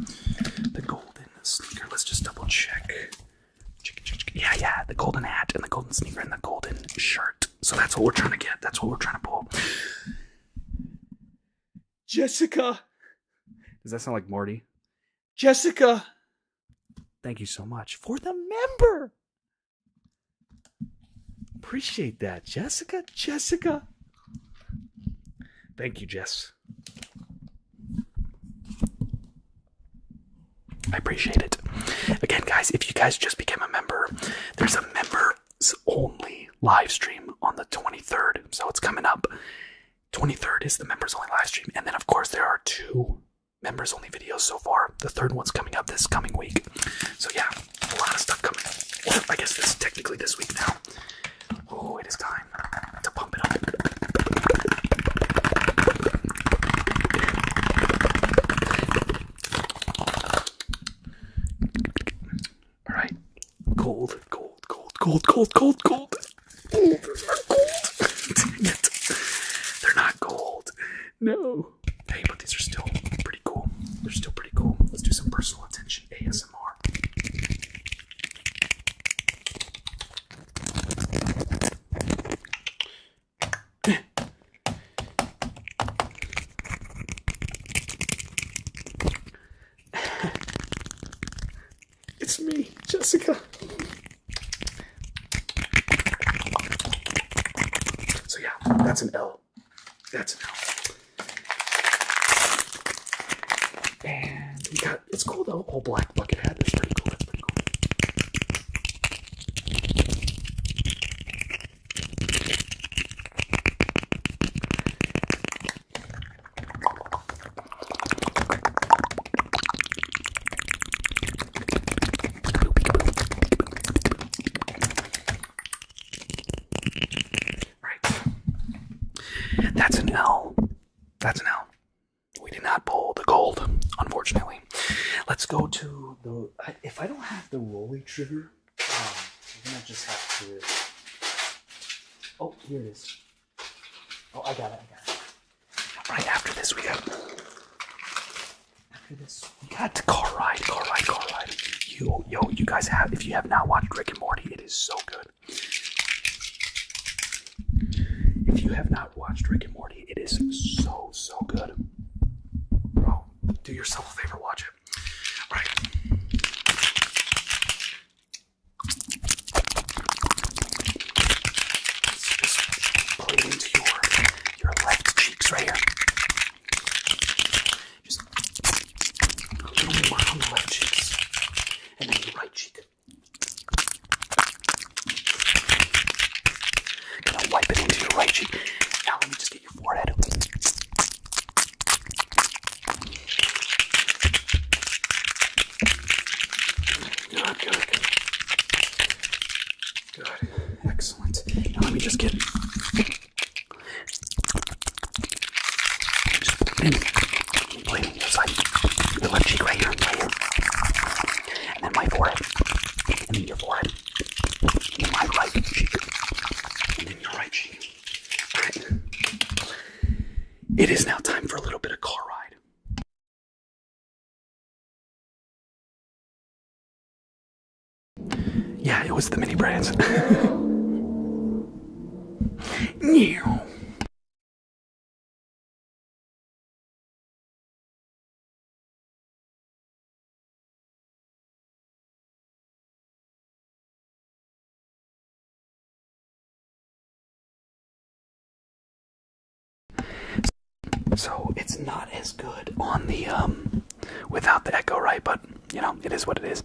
The golden sneaker. Let's just double check. Yeah, yeah, the golden hat and the golden sneaker and the golden shirt. So that's what we're trying to get. That's what we're trying to pull. Jessica. Does that sound like Morty? Jessica. Thank you so much for the member. Appreciate that, Jessica. Jessica. Thank you, Jess. I appreciate it. Again, guys, if you guys just became a member, there's a members only live stream on the 23rd. So it's coming up. 23rd is the members only live stream. And then, of course, there are two members only videos so far. The third one's coming up this coming week. So, yeah, a lot of stuff coming. Well, I guess this technically this week now. Oh, it is time to pump it up. All right, cold, cold, cold, cold, cold, cold, cold. Oh, those are cold. They're not gold. No. Hey, but these are still pretty cool. They're still pretty cool. Let's do some personal attention ASMR. it's me, Jessica. So yeah, that's an L. That's an L. And it's cool though. Whole black bucket hat. That's pretty cool. That's pretty cool. Right. That's an L. That's an L. We did not pull the gold, unfortunately. Let's go to the. If I don't have the Rolly trigger, I'm um, gonna just have to. Oh, here it is. Oh, I got it. I got it. Right after this, we got. After this, we got car ride, car ride, car ride. You, yo, you guys have. If you have not watched Rick and Morty, it is so good. If you have not watched Rick and Morty, it is so, so good. Bro, do yourself a favor, watch it. All put it into your, your left cheeks right here. Just left cheeks. And then the right cheek. Gonna wipe it into your right cheek. Now let me just get your forehead. Good, good, good. Good. Excellent. Now let me just get just put it in blue, like the left cheek right here, And then my forehead, and then your forehead, and then your right cheek. It is now time for a little bit of car ride. Yeah, it was the mini brands. New. So it's not as good on the um without the echo, right? But you know, it is what it is.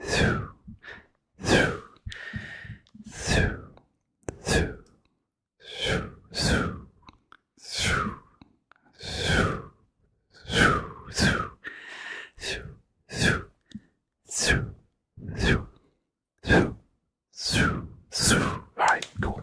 through, through, through, through, through, through, through, through, through, through, through, through, through, through, through, through. All right, cool.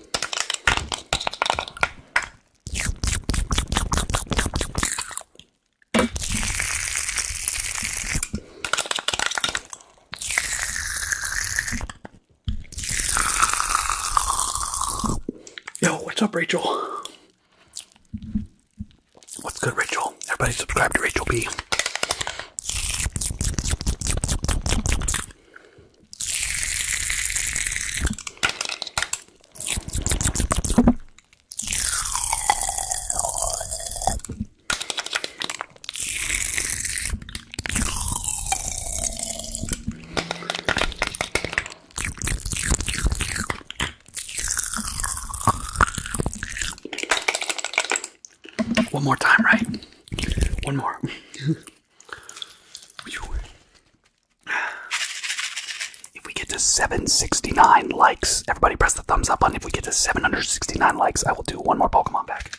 Yo, what's up, Rachel? What's good, Rachel? Everybody subscribe to Rachel B. One more time, right? One more. If we get to 769 likes, everybody press the thumbs up button. If we get to 769 likes, I will do one more Pokemon back.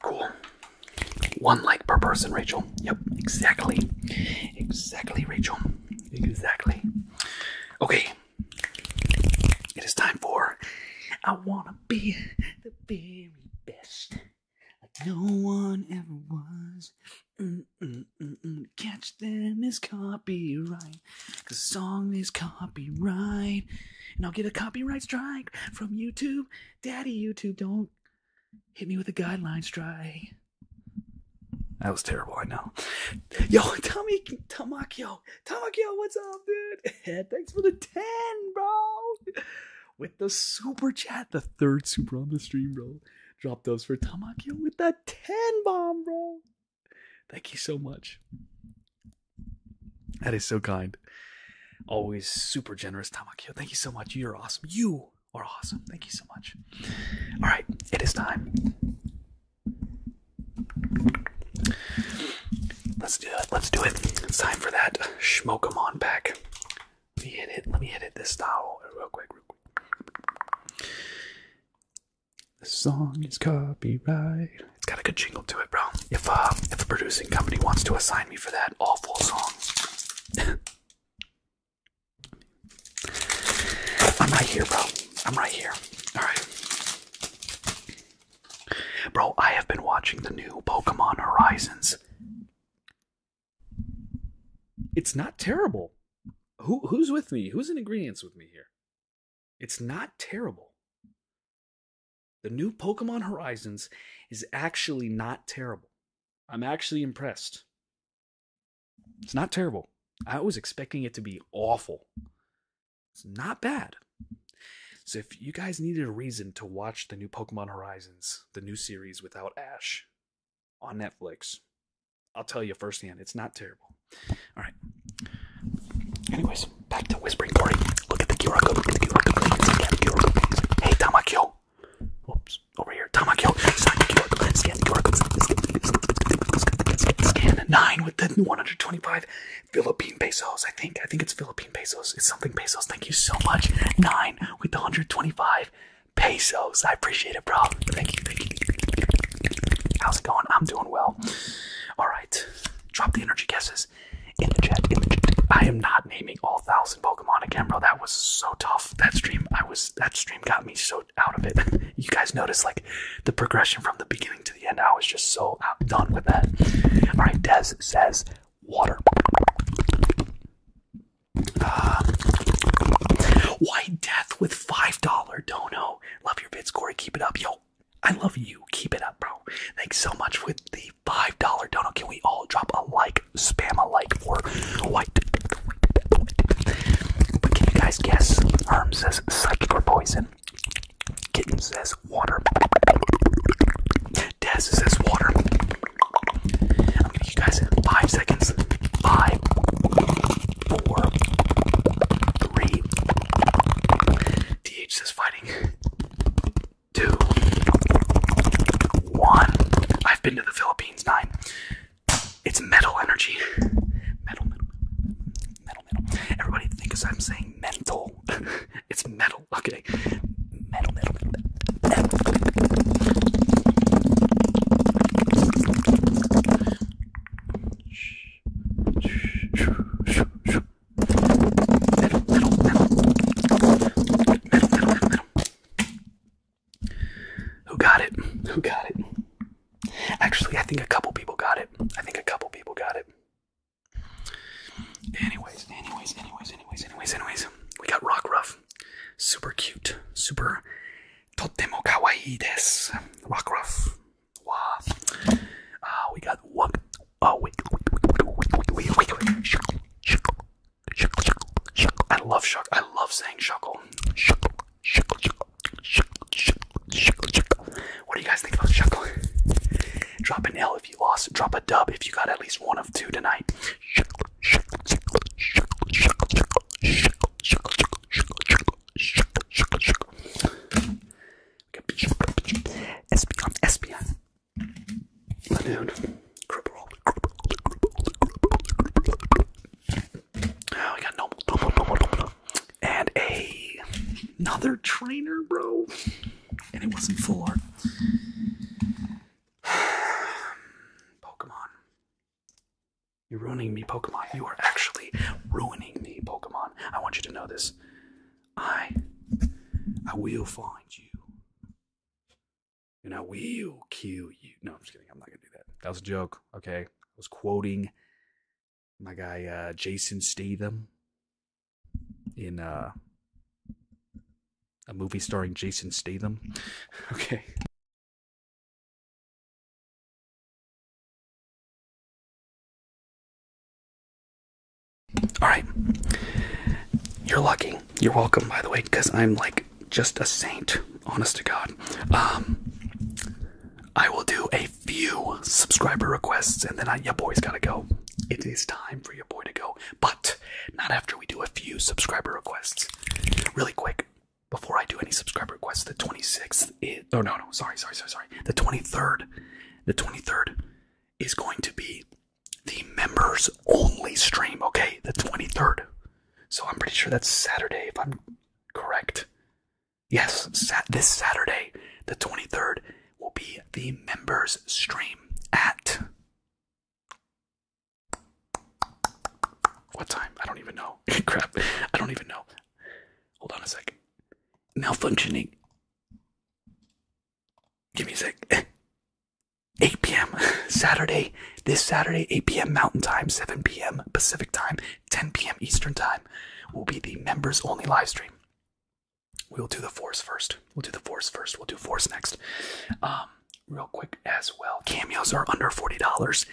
Cool. One like per person, Rachel. Yep, exactly. Exactly, Rachel. Exactly. Okay. It is time for I wanna be the very best no one ever was. Mm, mm, mm, Catch them as copyright, The song is copyright, and I'll get a copyright strike from YouTube. Daddy, YouTube, don't hit me with a guideline strike. That was terrible, I know. Yo, Tommy, Tamakyo, Tamakyo, what's up, dude? Thanks for the 10, bro with the super chat, the third super on the stream, bro. Drop those for Tamakyo with that 10 bomb, bro. Thank you so much. That is so kind. Always super generous, Tamakyo. Thank you so much. You're awesome. You are awesome. Thank you so much. All right, it is time. Let's do it. Let's do it. It's time for that smoke on pack. Let me hit it. Let me hit it this style real quick, real quick. The song is copyright. It's got a good jingle to it, bro. If uh, if a producing company wants to assign me for that awful song, I'm right here, bro. I'm right here. All right. Bro, I have been watching the new Pokemon Horizons. It's not terrible. Who who's with me? Who's in ingredients with me here? It's not terrible. The new Pokemon Horizons is actually not terrible. I'm actually impressed. It's not terrible. I was expecting it to be awful. It's not bad. So if you guys needed a reason to watch the new Pokemon Horizons, the new series without Ash, on Netflix. I'll tell you firsthand, it's not terrible. All right. Anyways, back to Whispering Cory. Look at the QR code. Look at the QR code. Scan the QR code. Hey, Tamakyo. Oops, over here. Tamakyo. Scan the QR code. Scan the QR code. Scan nine with the 125 Philippine pesos. I think. I think it's Philippine pesos. It's something pesos. Thank you so much. Nine with the 125 pesos. I appreciate it, bro. Thank you, thank you. How's it going? I'm doing well. All right, drop the energy guesses in the chat. In the chat. I am not naming all thousand Pokemon again, bro. That was so tough. That stream, I was that stream got me so out of it. you guys notice like the progression from the beginning to the end. I was just so done with that. All right, Des says water. Uh, White Death with $5 dono. Love your bits, Corey. Keep it up. Yo, I love you. Keep it up, bro. Thanks so much with the $5 dono. Can we all drop a like, spam a like for White Death? But can you guys guess? Herm says psychic or poison. Kitten says water. Des says water. I'm gonna give you guys five seconds. Five, four, three. DH says fighting. Two, one. I've been to the Philippines. Nine. It's metal energy. Metal, metal, metal, metal. Everybody thinks I'm saying metal. it's metal. Okay metal, metal, metal, metal. Metal, metal, metal. Metal, metal, metal, metal. Who got it? Who got it? Actually, I think a couple people got it. I think a couple people got it. Anyways, anyways, anyways, anyways, anyways, anyways. We got Rock Ruff. Super cute. Super totemo kawaii desu. Rock Wow. Uh, ah, we got what? Oh, I love shuckle. I love saying shuckle. Shuckle, shuckle, shuckle, shuckle, shuckle, shuckle, shuckle. What do you guys think about shuckle? Drop an L if you lost. Drop a dub if you got at least one of two tonight. Espion, espion. Lanoon. Oh, we got no, And a another trainer, bro. And it wasn't full Pokemon. You're ruining me, Pokemon. You are actually ruining me, Pokemon. I want you to know this. I I will find you. And I will kill you. No, I'm just kidding. I'm not gonna do that. That was a joke. Okay. I was quoting my guy uh, Jason Statham in uh, a movie starring Jason Statham. Okay. All right. You're lucky. You're welcome, by the way, because I'm like just a saint, honest to God. Um, I will do a few subscriber requests and then I, your boy's gotta go. It is time for your boy to go. But not after we do a few subscriber requests. Really quick, before I do any subscriber requests, the 26th is. Oh, no, no, sorry, sorry, sorry, sorry. The 23rd. The 23rd is going to be the members only stream, okay? The 23rd. So I'm pretty sure that's Saturday, if I'm correct. Yes, sat this Saturday, the 23rd, will be the members stream at what time? I don't even know. Crap. I don't even know. Hold on a second. Malfunctioning. Give me a sec. 8 p.m. Saturday, this Saturday, 8 p.m. Mountain Time, 7 p.m. Pacific Time, 10 p.m. Eastern Time will be the members only live stream. We'll do the force first. We'll do the force first. We'll do force next. Um, real quick as well. Cameos are under $40.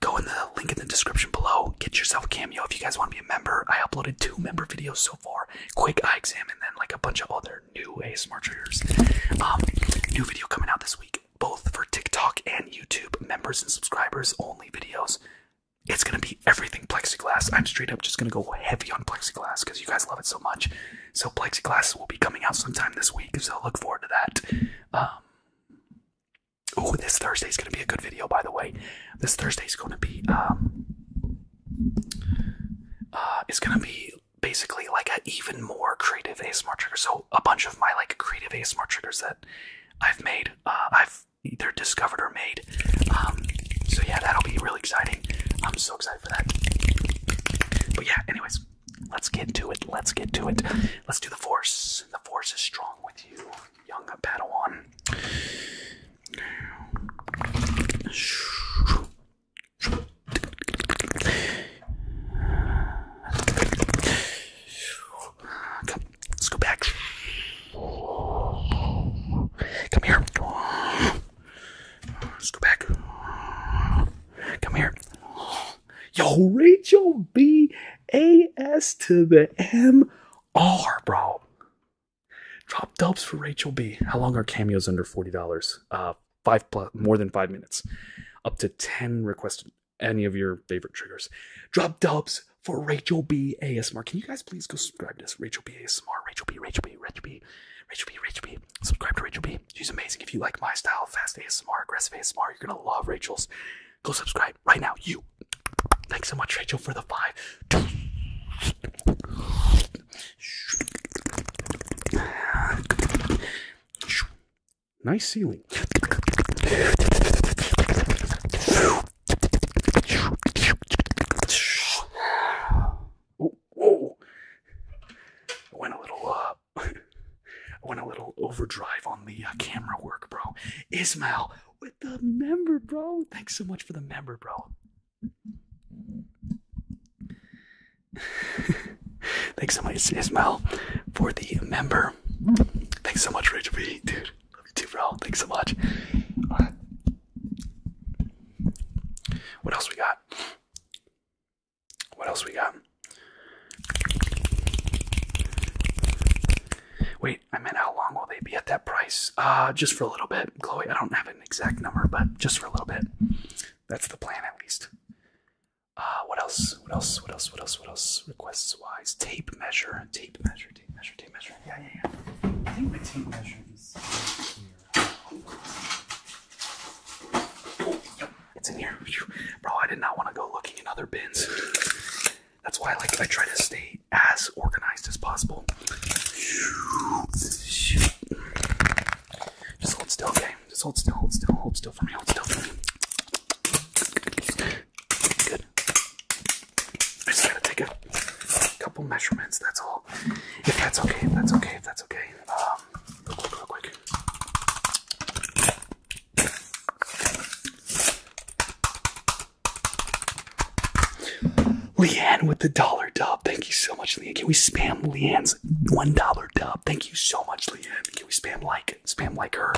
Go in the link in the description below. Get yourself a cameo if you guys want to be a member. I uploaded two member videos so far. Quick eye exam and then like a bunch of other new ASMR triggers. Um, new video coming out this week, both for TikTok and YouTube. Members and subscribers only videos. It's gonna be everything plexiglass. I'm straight up just gonna go heavy on plexiglass because you guys love it so much. So plexiglass will be coming out sometime this week, so look forward to that. Oh, this Thursday is going to be a good video, by the way. This Thursday is going to be um, uh, it's going to be basically like an even more creative ASMR trigger. So a bunch of my like creative ASMR triggers that I've made, uh, I've either discovered or made. Um, so yeah, that'll be really exciting. I'm so excited for that. But yeah, anyways, Let's get to it. Let's get to it. Let's do the force. The force is strong with you, young Padawan. Come, let's go back. Come here. Let's go back. Come here. Yo, Rachel B A S to the M R, bro. Drop dubs for Rachel B. How long are cameos under $40? Uh five plus more than five minutes. Up to 10 requested any of your favorite triggers. Drop dubs for Rachel B ASMR. Can you guys please go subscribe to this? Rachel B ASMR. Rachel B, Rachel B, Rachel B, Rachel B, Rachel B. Subscribe to Rachel B. She's amazing. If you like my style, fast ASMR, aggressive ASMR, you're gonna love Rachel's. Go subscribe right now. You. Thanks so much, Rachel, for the five. Nice ceiling. whoa. Went a little uh, I went a little overdrive on the uh, camera work, bro. Ismail with the member, bro. Thanks so much for the member, bro. Thanks so much, Ismail, for the member. Thanks so much, Rachel B. Dude, love you too, bro. Thanks so much. What else we got? What else we got? Wait, I meant how long will they be at that price? Uh, just for a little bit, Chloe. I don't have an exact number, but just for a little bit. That's the plan, at least. Uh, what else? What else? What else? What else? What else? Requests wise, tape measure, tape measure, tape measure, tape measure. Yeah, yeah, yeah. I think my tape measures it's in here. Bro, I did not want to go looking in other bins. That's why I like I try to stay as organized as possible. Just hold still, okay? Just hold still, hold still, hold still for me, hold still for me. Good. I just gotta take a couple measurements, that's all. If that's okay, if that's okay, if that's okay. Um, um, Leanne with the dollar dub. Thank you so much, Leanne. Can we spam Leanne's one dollar dub? Thank you so much, Leanne. Can we spam like spam like her?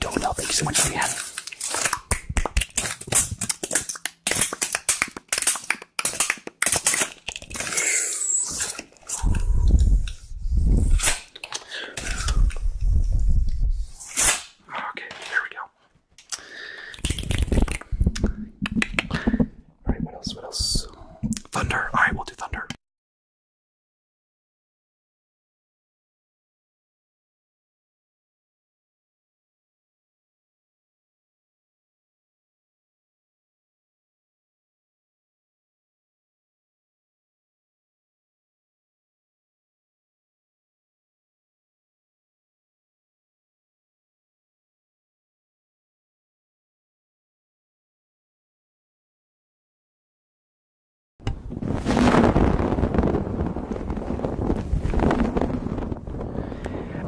Don't know. Thank you so much, Leanne. Okay, there we go. Alright, what else? What else? Thunder. Alright, we'll do thunder.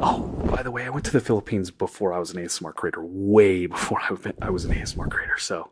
Oh, by the way, I went to the Philippines before I was an ASMR creator, way before I was an ASMR creator. So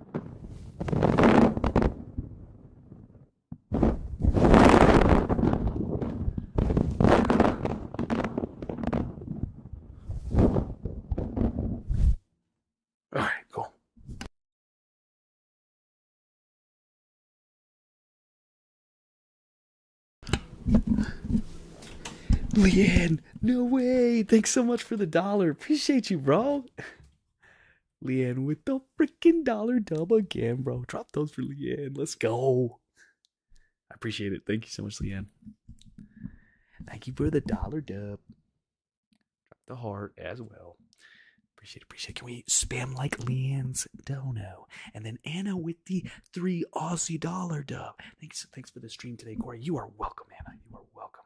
All right, cool. Leanne, no way. Thanks so much for the dollar. Appreciate you, bro. Leanne with the freaking dollar dub again, bro. Drop those for Leanne. Let's go. I appreciate it. Thank you so much, Leanne. Thank you for the dollar dub. Drop the heart as well. Appreciate appreciate Can we spam like Leanne's dono? And then Anna with the three Aussie dollar dub. Thanks, thanks for the stream today, Corey. You are welcome, Anna. You are welcome.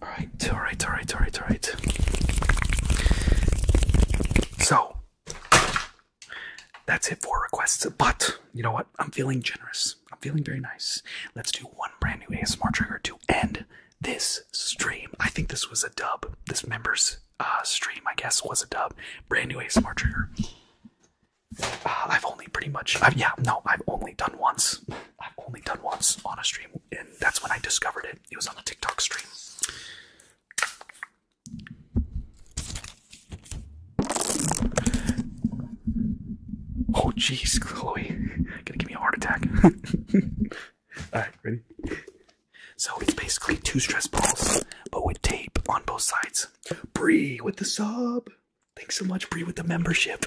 All right, all right, all right, all right, all right. So that's it for requests. But you know what? I'm feeling generous. I'm feeling very nice. Let's do one brand new ASMR trigger to end this stream. I think this was a dub. This member's uh, stream, I guess, was a dub. Brand new ASMR trigger. Uh, I've only pretty much, yeah, no, I've only done once. I've only done once on a stream, and that's when I discovered it. It was on a TikTok stream. Oh, jeez, Chloe, gonna give me a heart attack. All right, ready? So it's basically two stress balls, but with tape on both sides. Bree with the sob. Thanks so much, Bree, with the membership.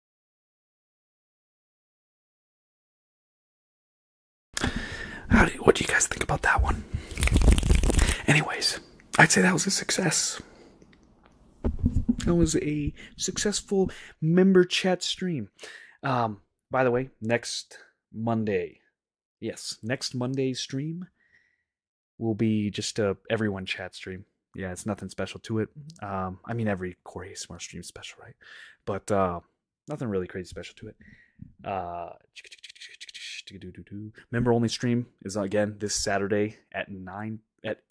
what do you guys think about that one? Anyways, I'd say that was a success. That was a successful member chat stream. Um, by the way, next Monday, yes, next Monday's stream will be just a everyone chat stream. Yeah, it's nothing special to it. Um, I mean, every Corey Smart stream special, right? But uh, nothing really crazy special to it. Uh, member only stream is again this Saturday at nine at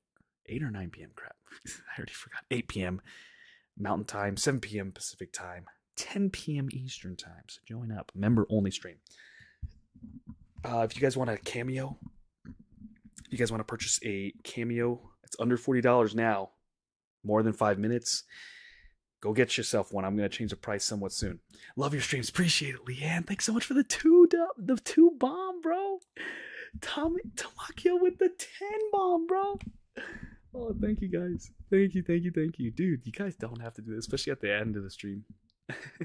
eight or nine p.m. Crap, I already forgot. Eight p.m. Mountain Time, seven p.m. Pacific Time, ten p.m. Eastern Time. So join up. Member only stream. Uh, if you guys want a cameo, if you guys want to purchase a cameo, it's under forty dollars now more than five minutes, go get yourself one. I'm going to change the price somewhat soon. Love your streams. Appreciate it, Leanne. Thanks so much for the two, the two bomb, bro. Tom Tamakio with the 10 bomb, bro. Oh, thank you guys. Thank you, thank you, thank you. Dude, you guys don't have to do this, especially at the end of the stream.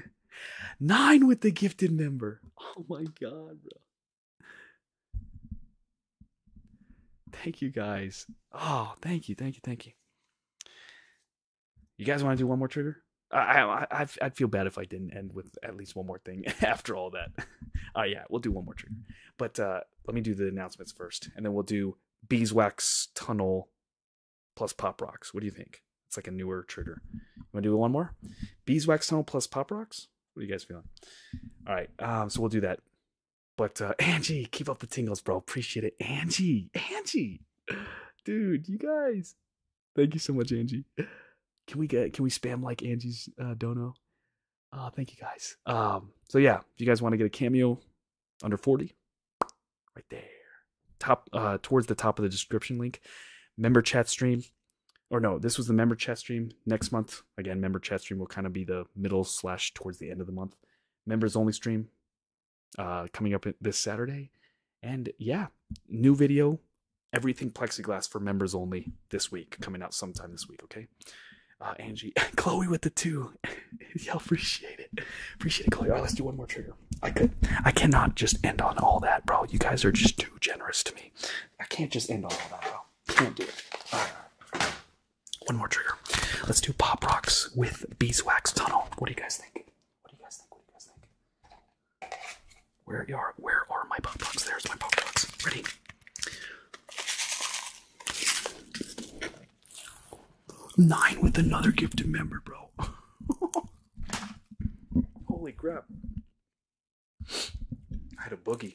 Nine with the gifted member. Oh my god, bro thank you guys. Oh, thank you, thank you, thank you. You guys want to do one more trigger? I, I, I'd feel bad if I didn't end with at least one more thing after all that. Oh yeah, we'll do one more trigger. But uh, let me do the announcements first, and then we'll do beeswax tunnel plus pop rocks. What do you think? It's like a newer trigger. You want to do one more? Beeswax tunnel plus pop rocks. What are you guys feeling? All right, um, so we'll do that. But uh, Angie, keep up the tingles, bro. Appreciate it. Angie, Angie, dude, you guys, thank you so much, Angie. Can we get can we spam like Angie's uh, dono? Uh, thank you guys. Um, so yeah, if you guys want to get a cameo under forty, right there, top uh, towards the top of the description link, member chat stream, or no, this was the member chat stream. Next month Again, member chat stream will kind of be the middle slash towards the end of the month. Members only stream uh, coming up this Saturday. And yeah, new video, everything plexiglass for members only this week, coming out sometime this week, okay? Uh, Angie, Chloe with the two. Y'all appreciate it. Appreciate it, Chloe. All oh, right, let's do one more trigger. I could, I cannot just end on all that, bro. You guys are just too generous to me. I can't just end on all that, bro. Can't do it. One more trigger. Let's do Pop Rocks with Beeswax Tunnel. What do you guys think? What do you guys think? Where are where are my Pop Rocks? There's my Pop Rocks. Ready? Nine with another gifted member, bro. Holy crap. I had a boogie.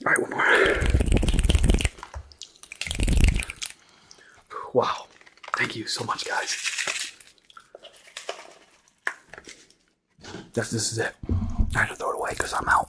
All right, one more. Wow. Thank you so much, guys. That's, this is it. I got to throw it away because I'm out.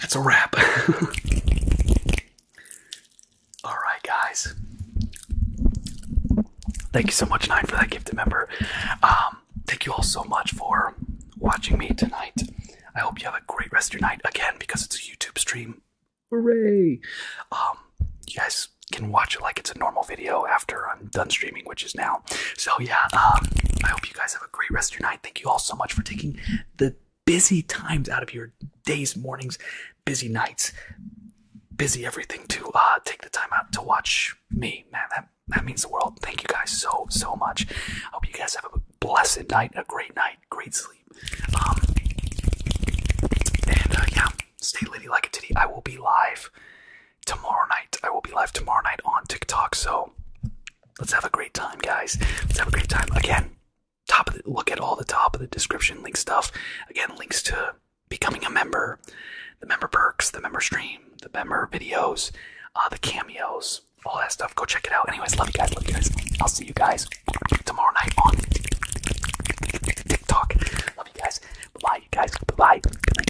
That's a wrap. All right, guys. Thank you so much, Nine, for that gifted member. Um, thank you all so much for watching me tonight. I hope you have a great rest of your night. Again, because it's a YouTube stream. Hooray! Um, you guys can watch it like it's a normal video after I'm done streaming, which is now. So yeah, um, I hope you guys have a great rest of your night. Thank you all so much for taking the busy times out of your days, mornings, busy nights, busy everything to uh, take the time out to watch me. Man, that that means the world. Thank you guys so so much. I hope you guys have a blessed night, a great night, great sleep. Um, and uh, yeah, stay ladylike a titty. I will be live tomorrow night. I will be live tomorrow night on TikTok. So let's have a great time, guys. Let's have a great time. Again, top of the, look at all the top of the description link stuff. Again, links to becoming a member, the member perks, the member stream, the member videos, uh, the cameos, all that stuff. Go check it out. Anyways, love you guys. Love you guys. I'll see you guys tomorrow night on TikTok. Love you guys. Bye, you guys. Bye. Good